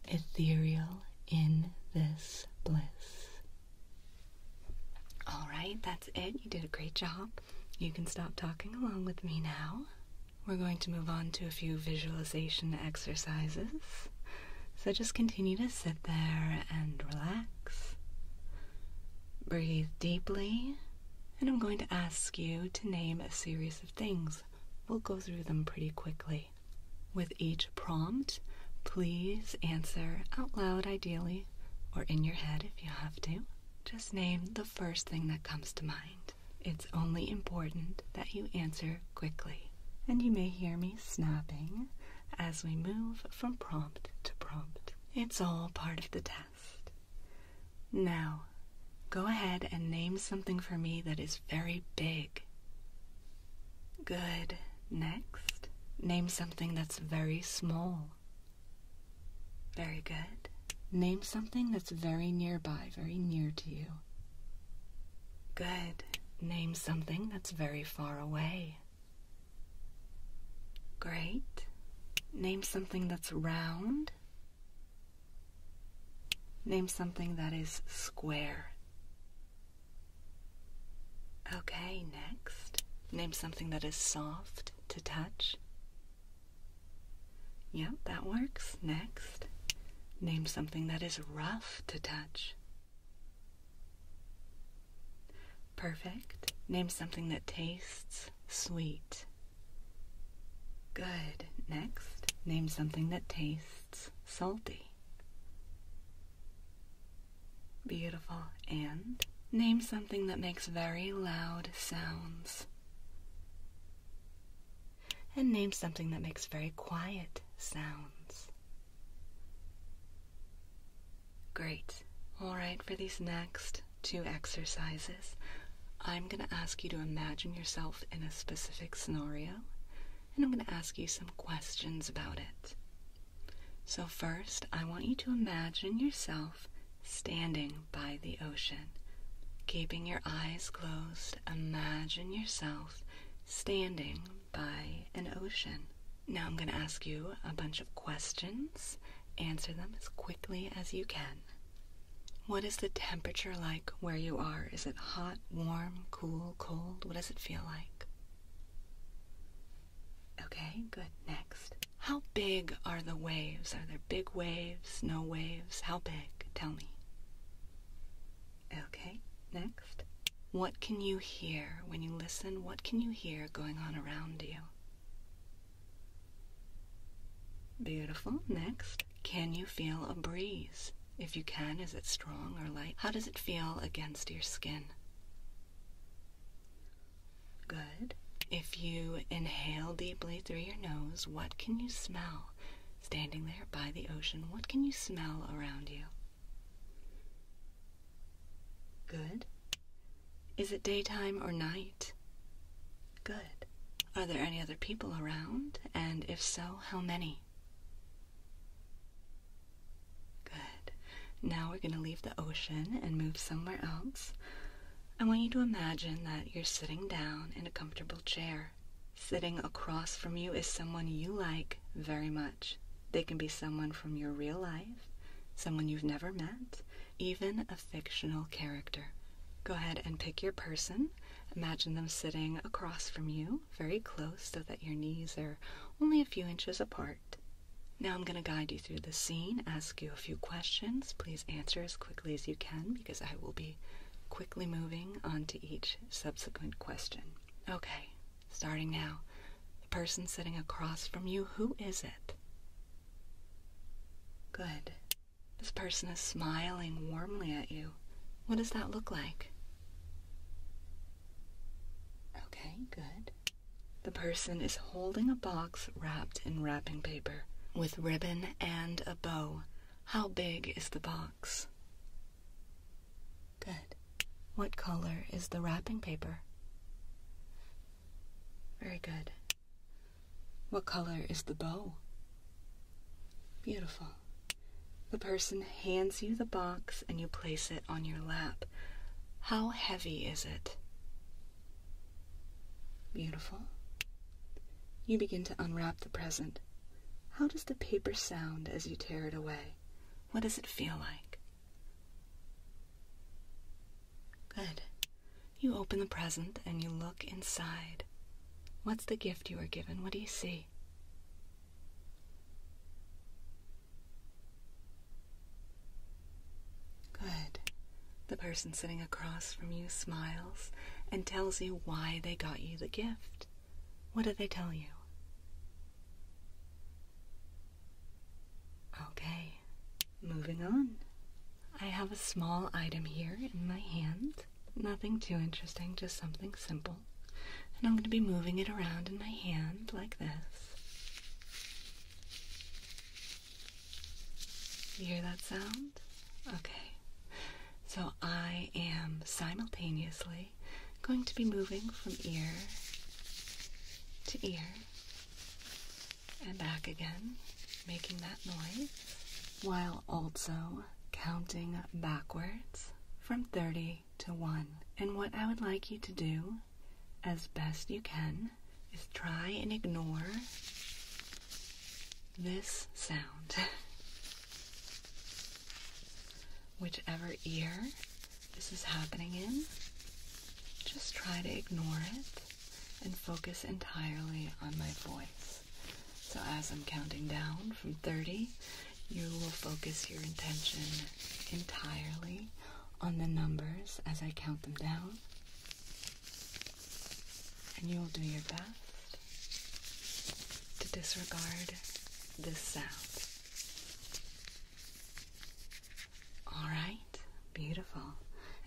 Speaker 1: ethereal in this bliss. All right, that's it. You did a great job. You can stop talking along with me now. We're going to move on to a few visualization exercises. So just continue to sit there and relax. Breathe deeply, and I'm going to ask you to name a series of things. We'll go through them pretty quickly. With each prompt, please answer out loud, ideally, or in your head if you have to. Just name the first thing that comes to mind. It's only important that you answer quickly and you may hear me snapping as we move from prompt to prompt. It's all part of the test. Now, go ahead and name something for me that is very big. Good. Next, name something that's very small. Very good. Name something that's very nearby, very near to you. Good. Name something that's very far away. Great. Name something that's round. Name something that is square. Okay, next. Name something that is soft to touch. Yep, that works. Next. Name something that is rough to touch. Perfect. Name something that tastes sweet. Good. Next, name something that tastes salty. Beautiful. And name something that makes very loud sounds and name something that makes very quiet sounds. Great. All right, for these next two exercises, I'm going to ask you to imagine yourself in a specific scenario, and I'm going to ask you some questions about it. So, first, I want you to imagine yourself standing by the ocean. Keeping your eyes closed, imagine yourself standing by an ocean. Now I'm going to ask you a bunch of questions. Answer them as quickly as you can. What is the temperature like where you are? Is it hot, warm, cool, cold? What does it feel like? Okay, good. Next. How big are the waves? Are there big waves, no waves? How big? Tell me. Okay, next. What can you hear when you listen? What can you hear going on around you? Beautiful. Next, can you feel a breeze? If you can, is it strong or light? How does it feel against your skin? Good. If you inhale deeply through your nose, what can you smell? Standing there by the ocean, what can you smell around you? Good. Is it daytime or night? Good. Are there any other people around? And if so, how many? Good. Now we're going to leave the ocean and move somewhere else. I want you to imagine that you're sitting down in a comfortable chair. Sitting across from you is someone you like very much. They can be someone from your real life, someone you've never met, even a fictional character. Go ahead and pick your person. Imagine them sitting across from you, very close, so that your knees are only a few inches apart. Now I'm going to guide you through the scene, ask you a few questions. Please answer as quickly as you can because I will be quickly moving on to each subsequent question. Okay, Starting now, the person sitting across from you, who is it? Good. This person is smiling warmly at you. What does that look like? Okay, good. The person is holding a box wrapped in wrapping paper with ribbon and a bow. How big is the box? Good. What color is the wrapping paper? Very good. What color is the bow? Beautiful. The person hands you the box and you place it on your lap. How heavy is it? Beautiful. You begin to unwrap the present. How does the paper sound as you tear it away? What does it feel like? Good. You open the present and you look inside. What's the gift you are given? What do you see? Good. The person sitting across from you smiles and tells you why they got you the gift. What did they tell you? Okay, moving on. I have a small item here in my hand. Nothing too interesting, just something simple. And I'm going to be moving it around in my hand like this. You hear that sound? Okay. So I am simultaneously going to be moving from ear to ear and back again, making that noise, while also counting backwards from 30 to 1. And what I would like you to do as best you can is try and ignore this sound. Whichever ear this is happening in, just try to ignore it and focus entirely on my voice. So, as I'm counting down from 30, you will focus your intention entirely on the numbers as I count them down. And you will do your best to disregard this sound. All right, beautiful.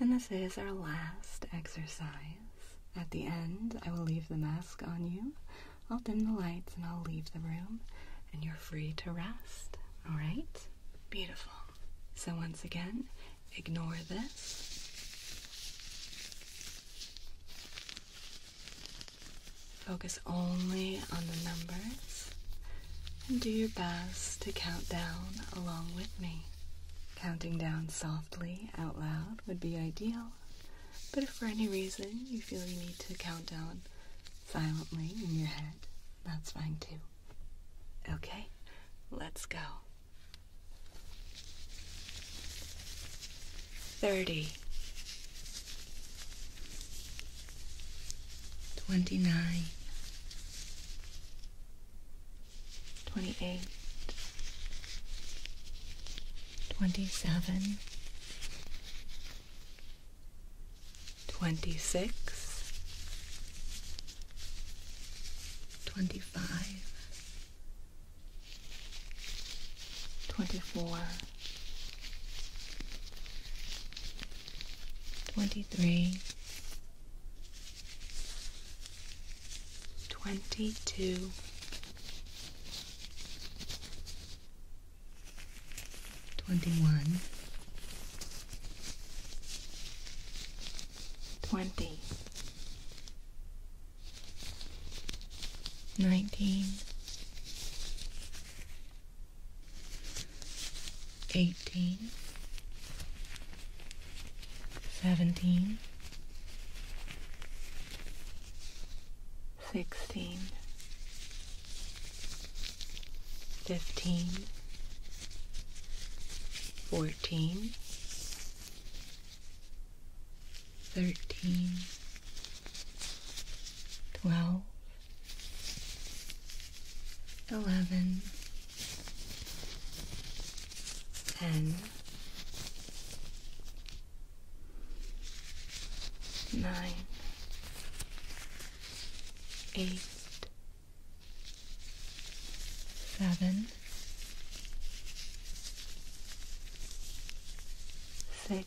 Speaker 1: And this is our last exercise. At the end, I will leave the mask on you. I'll dim the lights and I'll leave the room, and you're free to rest. All right? Beautiful. So, once again, ignore this. Focus only on the numbers and do your best to count down along with me. Counting down softly out loud would be ideal, but if for any reason you feel you need to count down silently in your head, that's fine too. Okay, let's go. 30 Twenty-nine, twenty-eight, twenty-seven, twenty-six, twenty-five, twenty-four. 23 22 21 20 19 eighteen, seventeen, sixteen, fifteen, fourteen, thirteen, twelve eleven, ten, nine, eight, seven, six.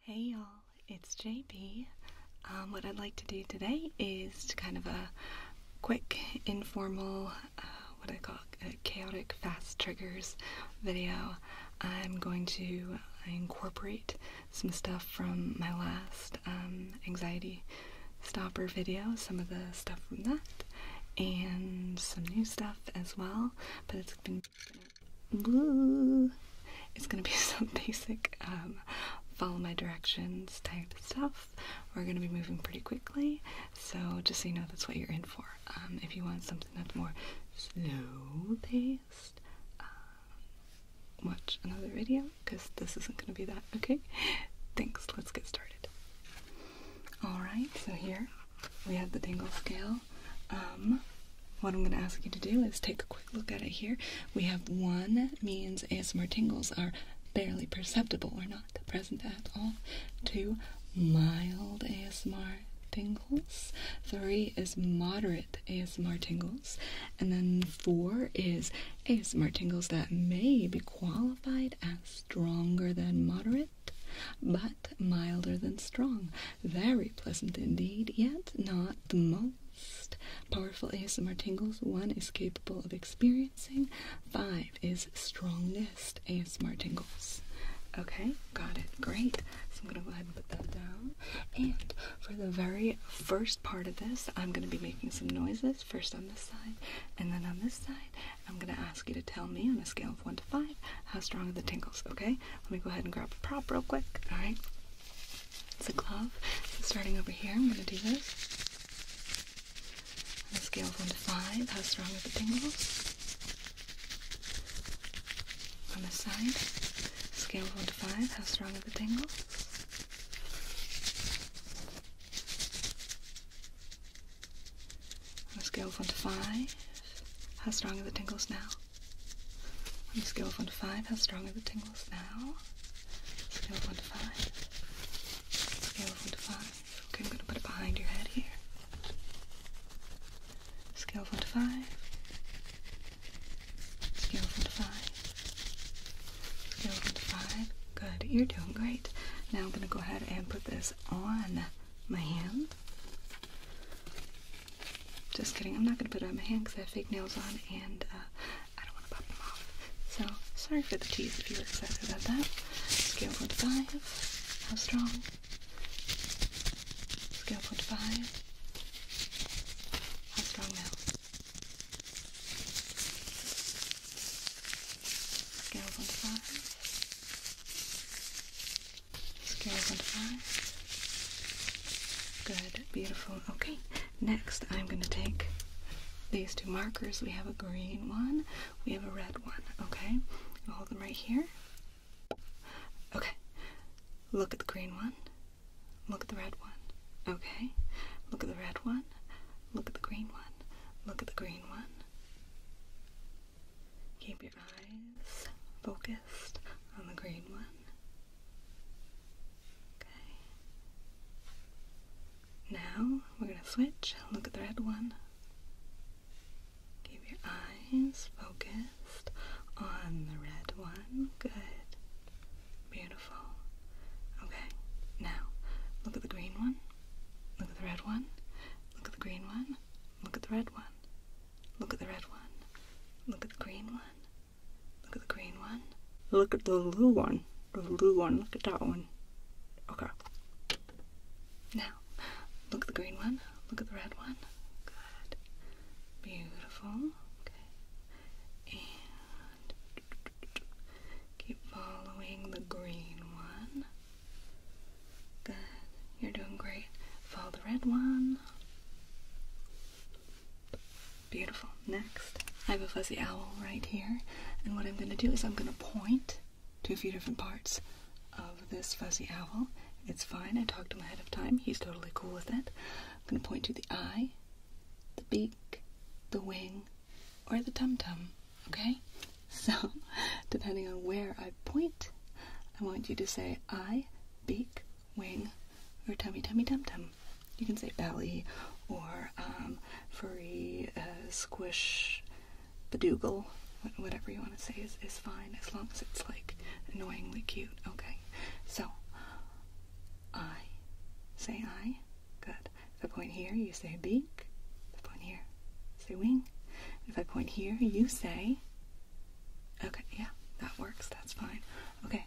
Speaker 1: Hey y'all, it's JB. Um, what I'd like to do today is to kind of a quick, informal, uh, what do I call it? Uh, chaotic fast triggers video. I'm going to incorporate some stuff from my last um, anxiety stopper video, some of the stuff from that, and some new stuff as well. But it's been Ooh. It's gonna be some basic um, follow my directions type stuff. We're gonna be moving pretty quickly, so just so you know that's what you're in for. Um, if you want something that's more slow paced, um, watch another video because this isn't gonna be that. Okay, thanks. Let's get started. All right, so here we have the dingle scale um, what I'm going to ask you to do is take a quick look at it here. We have one means ASMR tingles are barely perceptible or not present at all. Two, mild ASMR tingles. Three is moderate ASMR tingles. And then four is ASMR tingles that may be qualified as stronger than moderate. But milder than strong. Very pleasant indeed, yet not the most powerful ASMR tingles one is capable of experiencing, five is strongest ASMR tingles. Okay, got it. Great. So I'm going to go ahead and put that down. And for the very first part of this, I'm going to be making some noises first on this side and then on this side. I'm going to ask you to tell me on a scale of 1 to 5 how strong are the tingles, okay? Let me go ahead and grab a prop real quick. All right. It's a glove. starting over here, I'm going to do this. On a scale of 1 to 5, how strong are the tingles? On this side, scale 1 to 5, how strong are the tingles? On a scale of 1 to 5, how strong are the tingles now? scale of 1 to 5, how strong are the tingles now? Scale of 1 to 5. Scale of 1 to 5. Okay, I'm going to put it behind your head here. Scale of 1 to 5. Scale of 1 to 5. Scale of 1 to 5. Good. You're doing great. Now I'm going to go ahead and put this on my hand. Just kidding. I'm not going to put it on my hand because I have fake nails on and uh, I don't want to pop them off. So, sorry for the tease if you were excited about that. Scale 1 to 5. How strong? Scale 1 to 5. How strong now? Scale 1 to 5. Scale 1 to 5. Good, beautiful. Okay, next I'm going to take these two markers. We have a green one, we have a red one. Okay, I'll hold them right here. Okay, look at the green one, look at the red one. Okay, look at the red one, look at the green one, look at the green one. Keep your eyes focused on the green one. Okay. Now we're going to switch look at the red one. Keep your eyes focused on the red one. Good. Beautiful. Okay. Now look at the green one. Look at the red one. Look at the green one. Look at the red one. Look at the red one. Look at the green one. Look at the green one. Look at the blue one. The blue one. Look at that one. Okay. Now, look at the green one. Look at the red one. Good. Beautiful. Okay. And keep following the green one. Good. You're doing great. Follow the red one. Beautiful. Next, I have a fuzzy owl right here, and what I'm going to do is I'm going to point to a few different parts of this fuzzy owl. It's fine. I talked to him ahead of time. He's totally cool with it. I'm going to point to the eye, the beak, the wing, or the tum-tum, okay? So, depending on where I point, I want you to say eye, beak, wing, or tummy, tummy, tum-tum you can say belly or um, furry uh, squish badoogle. Whatever you want to say is, is fine as long as it's like annoyingly cute. Okay, so I say I. Good. The point here, you say beak. The point here, say wing. If I point here, you say. Okay, yeah, that works. That's fine. Okay,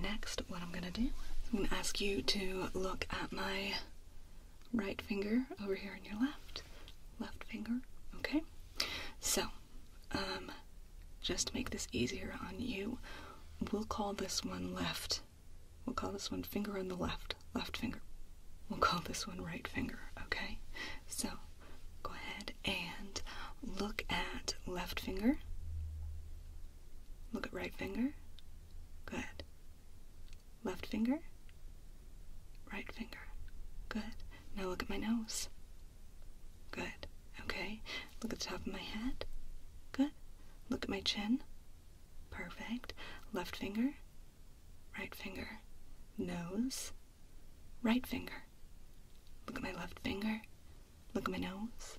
Speaker 1: Next, what I'm gonna do, I'm gonna ask you to look at my right finger over here on your left, left finger, okay? So, um, just to make this easier on you, we'll call this one left. We'll call this one finger on the left, left finger. We'll call this one right finger, okay? So, go ahead and look at left finger, look at right finger, Good. Left finger? Right finger. Good. Now look at my nose. Good. Okay. Look at the top of my head. Good. Look at my chin. Perfect. Left finger. Right finger. Nose. Right finger. Look at my left finger. Look at my nose.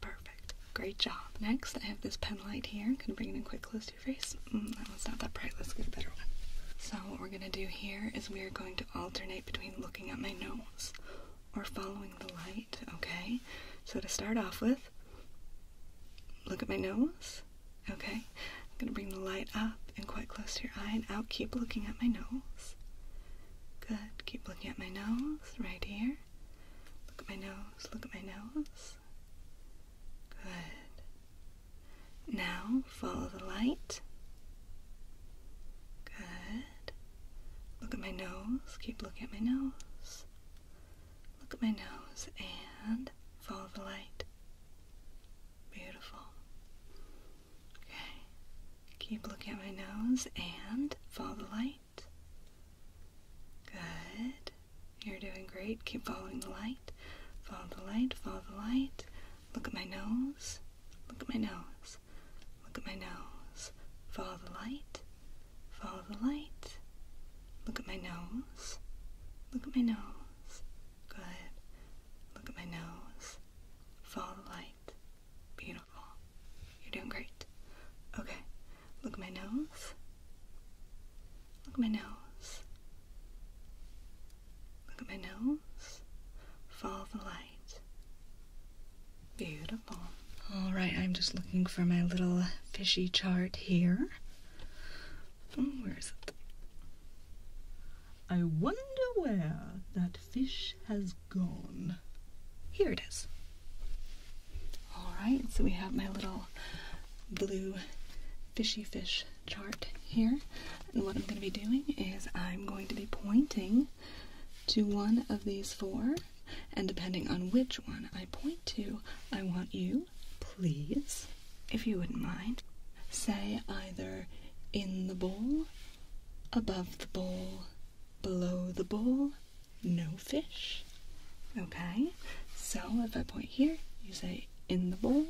Speaker 1: Perfect. Great job. Next, I have this pen light here. I'm going to bring it in quite close to your face. Mm, that one's not that bright. Let's get a better one. So what we're going to do here is we are going to alternate between looking at my nose or following the light, okay? So to start off with, look at my nose, okay? I'm going to bring the light up and quite close to your eye and out. Keep looking at my nose. Good. Keep looking at my nose right here. Look at my nose. Look at my nose. Good. Now follow the light. Good. Look at my nose. Keep looking at my nose. Look at my nose and follow the light. Beautiful. Okay. Keep looking at my nose and follow the light. Good. You're doing great. Keep following the light. Follow the light. Follow the light. Look at my nose. Look at my nose. Look at my nose. Follow the light. Follow the light. Look at my nose. Look at my nose. Good. Look at my nose. Follow the light. Beautiful. You're doing great. Okay. Look at my nose. Look at my nose. Look at my nose. Follow the light. Beautiful. All right, I'm just looking for my little fishy chart here. Hmm, where is it? I wonder where that fish has gone. Here it is. All right, so we have my little blue fishy fish chart here. And what I'm going to be doing is I'm going to be pointing to one of these four. And depending on which one I point to, I want you, please, if you wouldn't mind, say either in the bowl, above the bowl, below the bowl, no fish. Okay, so if I point here, you say in the bowl.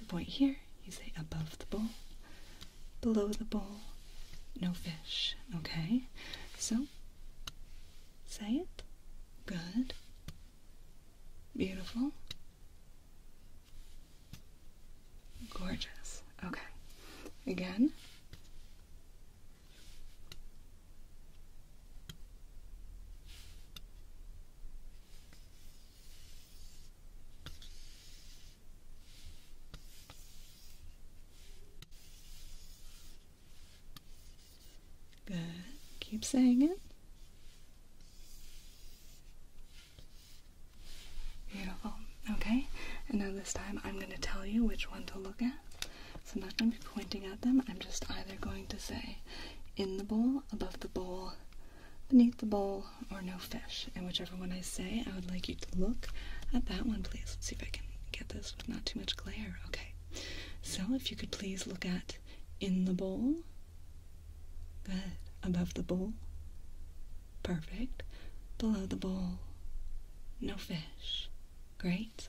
Speaker 1: If point here, you say above the bowl, below the bowl, no fish. Okay, so say it. Good. Beautiful. Gorgeous. Okay. Again. Good. Keep saying it. Beautiful. Okay, and now this time I'm going to tell you which one to look at. So I'm not going to be pointing at them. I'm just either going to say in the bowl, above the bowl, beneath the bowl, or no fish. And whichever one I say, I would like you to look at that one, please. Let's see if I can get this with not too much glare. Okay. So if you could please look at in the bowl. Good. Above the bowl. Perfect. Below the bowl. No fish. Great.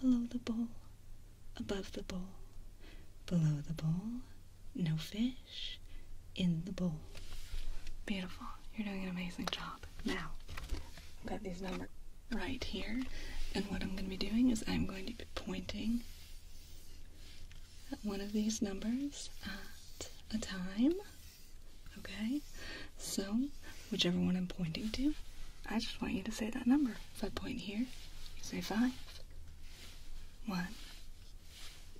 Speaker 1: below the bowl, above the bowl, below the bowl, no fish, in the bowl. Beautiful. You're doing an amazing job. Now, I've got these numbers right here, and what I'm going to be doing is I'm going to be pointing at one of these numbers at a time. Okay? So, whichever one I'm pointing to, I just want you to say that number. If I point here, say five. One,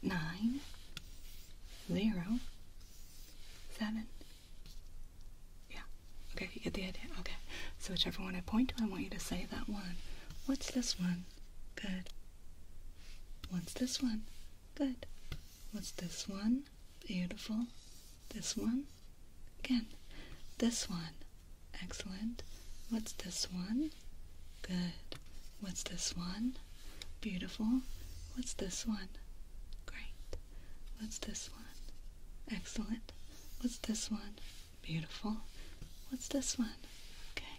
Speaker 1: nine, zero, seven. Yeah. Okay, you get the idea. Okay. So whichever one I point to, I want you to say that one. What's this one? Good. What's this one? Good. What's this one? Beautiful. This one? Again. This one. Excellent. What's this one? Good. What's this one? Beautiful. What's this one? Great. What's this one? Excellent. What's this one? Beautiful. What's this one? Okay.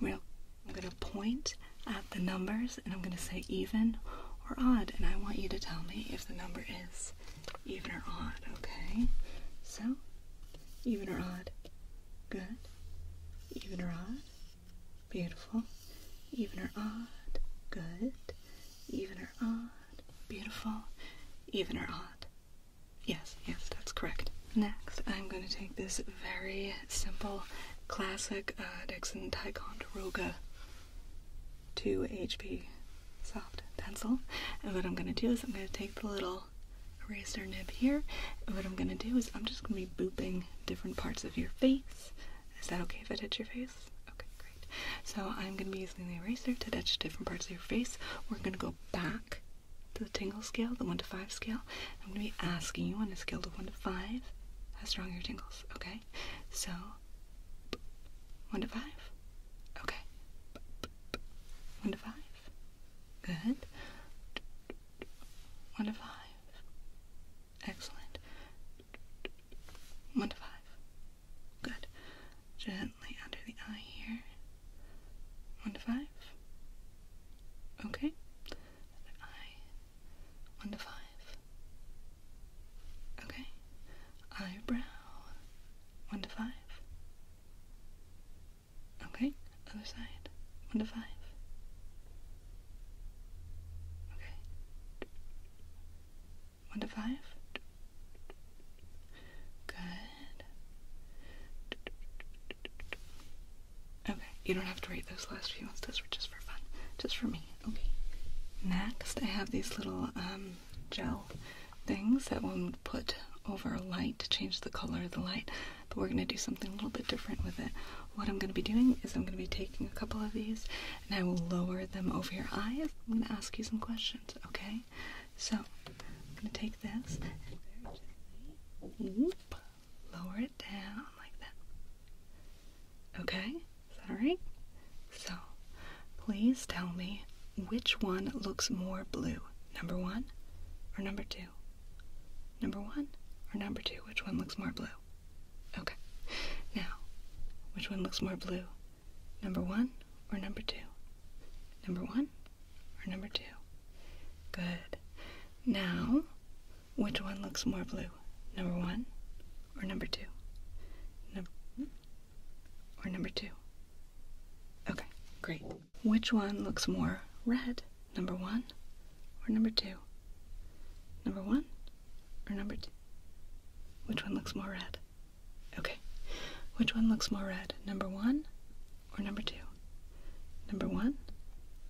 Speaker 1: Well, I'm going to point at the numbers and I'm going to say even or odd, and I want you to tell me if the number is even or odd, okay? So, even or odd, good. Even or odd, beautiful. Even or odd, good. Even or odd, beautiful. Even or odd. Yes, yes, that's correct. Next, I'm going to take this very simple, classic uh, Dixon Ticonderoga 2 HP soft pencil. And what I'm going to do is I'm going to take the little eraser nib here. And what I'm going to do is I'm just going to be booping different parts of your face. Is that okay if I touch your face? Okay, great. So I'm going to be using the eraser to touch different parts of your face. We're going to go back to the tingle scale, the 1 to 5 scale. I'm going to be asking you on a scale of 1 to 5 how strong your tingles, okay? So, 1 to 5. Okay. One to five. Good. One to five. Excellent. One to five. Good. Gently under the eye here. One to five. Okay. eye. One to five. Okay. Eyebrow. One to five. Okay, other side. One to five. Okay. One to five. Good. Okay, you don't have to write those last few ones. Those were just for fun. Just for me. Okay. Next, I have these little, um, gel things that we would put over light to change the color of the light. But we're going to do something a little bit different with it. What I'm going to be doing is I'm going to be taking a couple of these and I will lower them over your eyes. I'm going to ask you some questions, okay? So I'm going to take this and whoop, lower it down like that. Okay? Is that alright? So Please tell me which one looks more blue, number one or number two? Number one or number two? Which one looks more blue? Okay. Now, which one looks more blue, number one or number two? Number one or number two? Good. Now, which one looks more blue, number one or number two? Number or number two? Okay, great. Which one looks more red? Number one or number two? Number one or number two? Which one looks more red? Okay. Which one looks more red? Number one or number two? Number one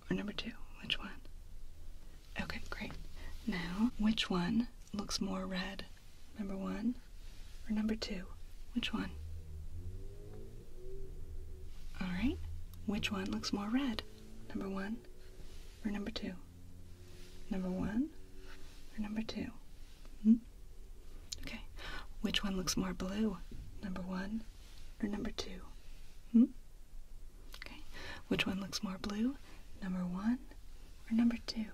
Speaker 1: or number two? Which one? Okay, great. Now, which one looks more red? Number one or number two? Which one? All right. Which one looks more red? Number one or number two? Number one or number two? Hmm? Okay. Which one looks more blue? Number one or number two? Hmm? Okay. Which one looks more blue? Number one or number two?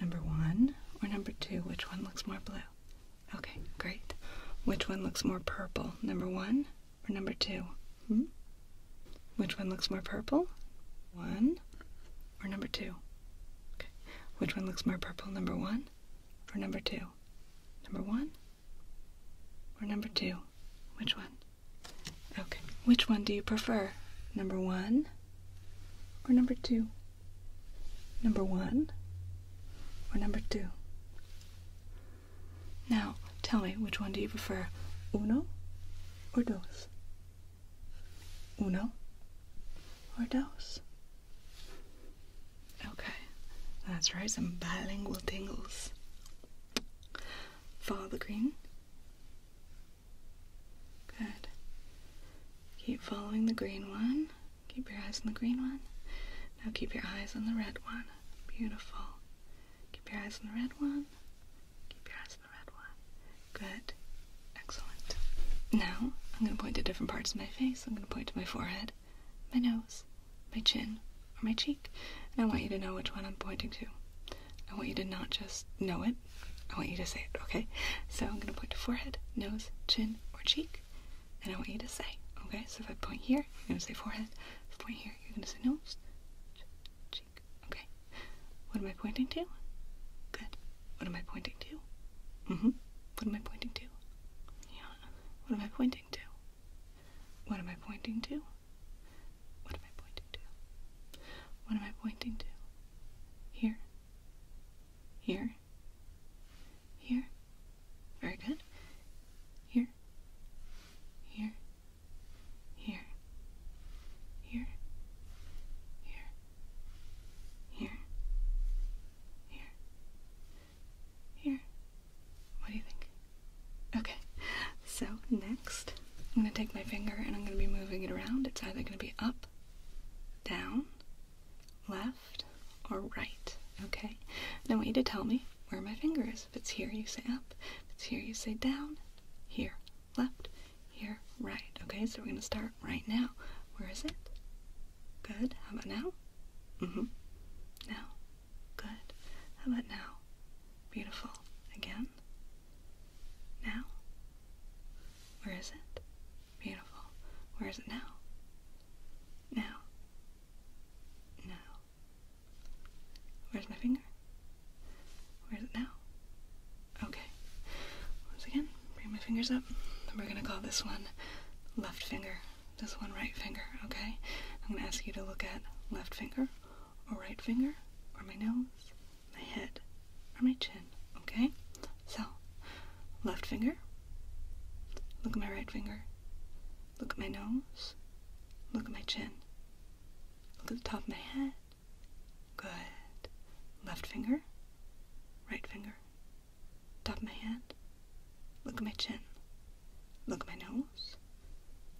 Speaker 1: Number one or number two? Which one looks more blue? Okay, great. Which one looks more purple? Number one or number two? Hmm? Which one looks more purple? One or number two? Okay. Which one looks more purple? Number one or number two? Number one or number two? Which one? Okay. Which one do you prefer? Number one or number two? Number one or number two? Now, tell me, which one do you prefer? Uno or dos? Uno or dos? Okay, that's right, some bilingual tingles. Follow the green. Good. Keep following the green one. Keep your eyes on the green one. Now keep your eyes on the red one. Beautiful. Keep your eyes on the red one. Keep your eyes on the red one. Good. Excellent. Now, I'm going to point to different parts of my face. I'm going to point to my forehead, my nose, my chin, or my cheek. And I want you to know which one I'm pointing to. I want you to not just know it, I want you to say it, okay? So I'm gonna point to forehead, nose, chin, or cheek, and I want you to say, okay? So if I point here, you're gonna say forehead. point here, you're gonna say nose, cheek, okay? What am I pointing to? Good. What am I pointing to? hmm What am I pointing to? Yeah. What am I pointing to? What am I pointing to? What am I pointing to? What am I pointing to? Here. Here. Here. Very good. Here. Here. Here. Here. Here. Here. Here. Here. What do you think? Okay. So next, I'm going to take my finger and I'm going to be moving it around. It's either going to be up, down, left or right, okay? And I want you to tell me where my finger is. If it's here, you say up. If it's here, you say down. Here, left. Here, right. Okay, so we're going to start right now. Where is it? Good. How about now? hmm Now. Good. How about now? Beautiful. Again. Now. Where is it? Beautiful. Where is it now? Now. Now. Where's my finger? Where is it now? Okay. Once again, bring my fingers up. We're gonna call this one left finger. This one right finger, okay? I'm gonna ask you to look at left finger or right finger or my nose, my head, or my chin. Okay? So, left finger. Look at my right finger. Look at my nose. Look at my chin. Look at the top of my head. Good. Left finger. Right finger. Top of my head. Look at my chin. Look at my nose.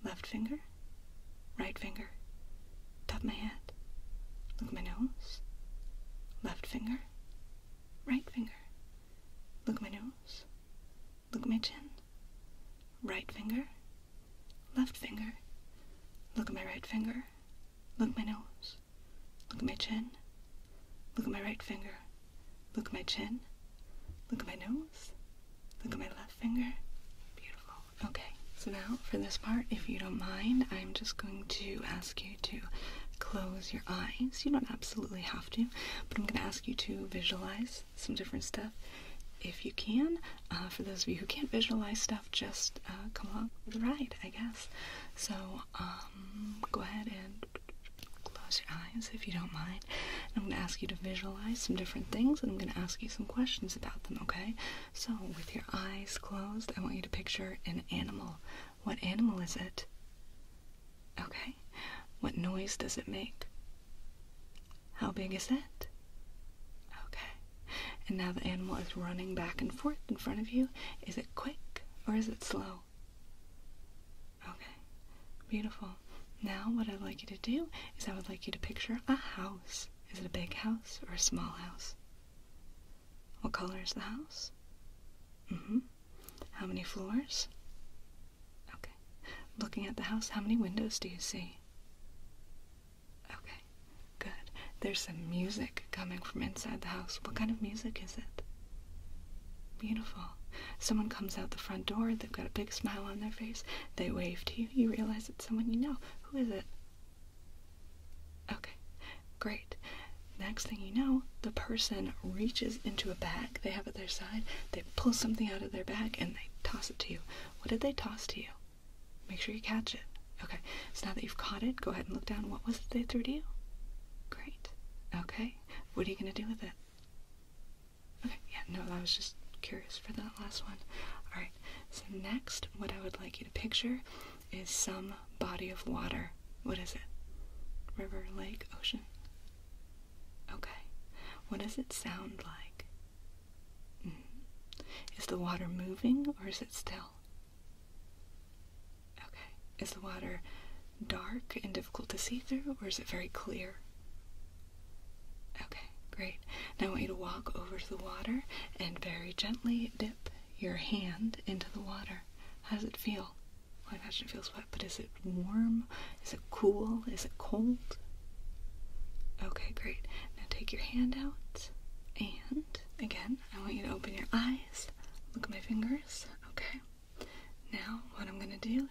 Speaker 1: Left finger. Right finger. Top of my head. Look at my nose. Left finger. Right finger. Look at my nose. Look at my chin. Right finger. Left finger. Look at my right finger. Look at my nose. Look at my chin. Look at my right finger. Look at my chin. Look at my nose. Look at my left finger. Beautiful. Okay, so now for this part, if you don't mind, I'm just going to ask you to close your eyes. You don't absolutely have to, but I'm going to ask you to visualize some different stuff if you can. Uh, for those of you who can't visualize stuff, just uh, come along for the ride, I guess. So um, go ahead and close your eyes if you don't mind. I'm going to ask you to visualize some different things, and I'm going to ask you some questions about them, okay? So with your eyes closed, I want you to picture an animal. What animal is it? Okay. What noise does it make? How big is it? Okay. And now the animal is running back and forth in front of you. Is it quick or is it slow? Okay. Beautiful. Now what I'd like you to do is I would like you to picture a house. Is it a big house or a small house? What color is the house? Mm-hmm. How many floors? Okay. Looking at the house, how many windows do you see? Okay, good. There's some music coming from inside the house. What kind of music is it? Beautiful. Someone comes out the front door, they've got a big smile on their face, they wave to you, you realize it's someone you know. Who is it? Okay, great. Next thing you know, the person reaches into a bag they have at their side, they pull something out of their bag, and they toss it to you. What did they toss to you? Make sure you catch it. Okay, so now that you've caught it, go ahead and look down. What was it they threw to you? Great. Okay, what are you going to do with it? Okay, yeah, no, I was just curious for that last one. Alright, so next, what I would like you to picture is some body of water. What is it? River, lake, ocean? Okay. What does it sound like? Mm-hmm. Is the water moving or is it still? Okay. Is the water dark and difficult to see through or is it very clear? Okay, great. Now I want you to walk over to the water and very gently dip your hand into the water. How does it feel? I imagine it feels wet, but is it warm? Is it cool? Is it cold? Okay, great. Now take your hand out, and again, I want you to open your eyes. Look at my fingers, okay? Now, what I'm gonna do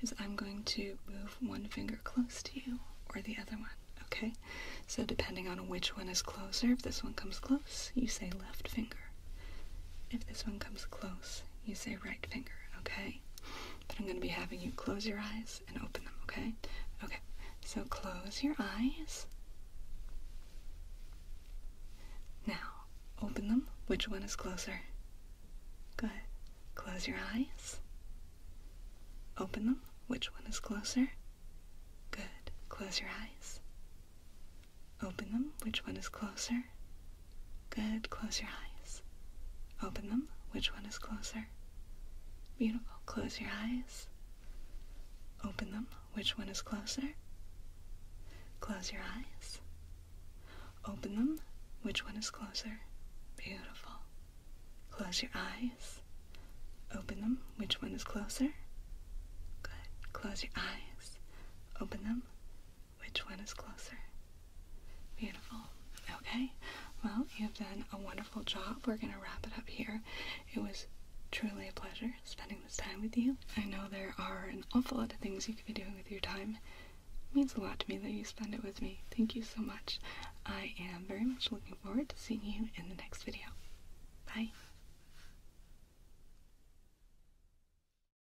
Speaker 1: is I'm going to move one finger close to you or the other one, okay? So, depending on which one is closer, if this one comes close, you say left finger. If this one comes close, you say right finger, okay? But I'm going to be having you close your eyes and open them, okay? Okay, so close your eyes. Now, open them. Which one is closer? Good. Close your eyes. Open them. Which one is closer? Good. Close your eyes. Open them. Which one is closer? Good. Close your eyes. Open them. Which one is closer? Beautiful. Close your eyes. Open them. Which one is closer? Close your eyes. Open them. Which one is closer? Beautiful. Close your eyes. Open them. Which one is closer? Good. Close your eyes. Open them. Which one is closer? Beautiful. Okay, well, you've done a wonderful job. We're going to wrap it up here. It was truly a pleasure spending this time with you. I know there are an awful lot of things you could be doing with your time. It means a lot to me that you spend it with me. Thank you so much. I am very much looking forward to seeing you in the next video. Bye.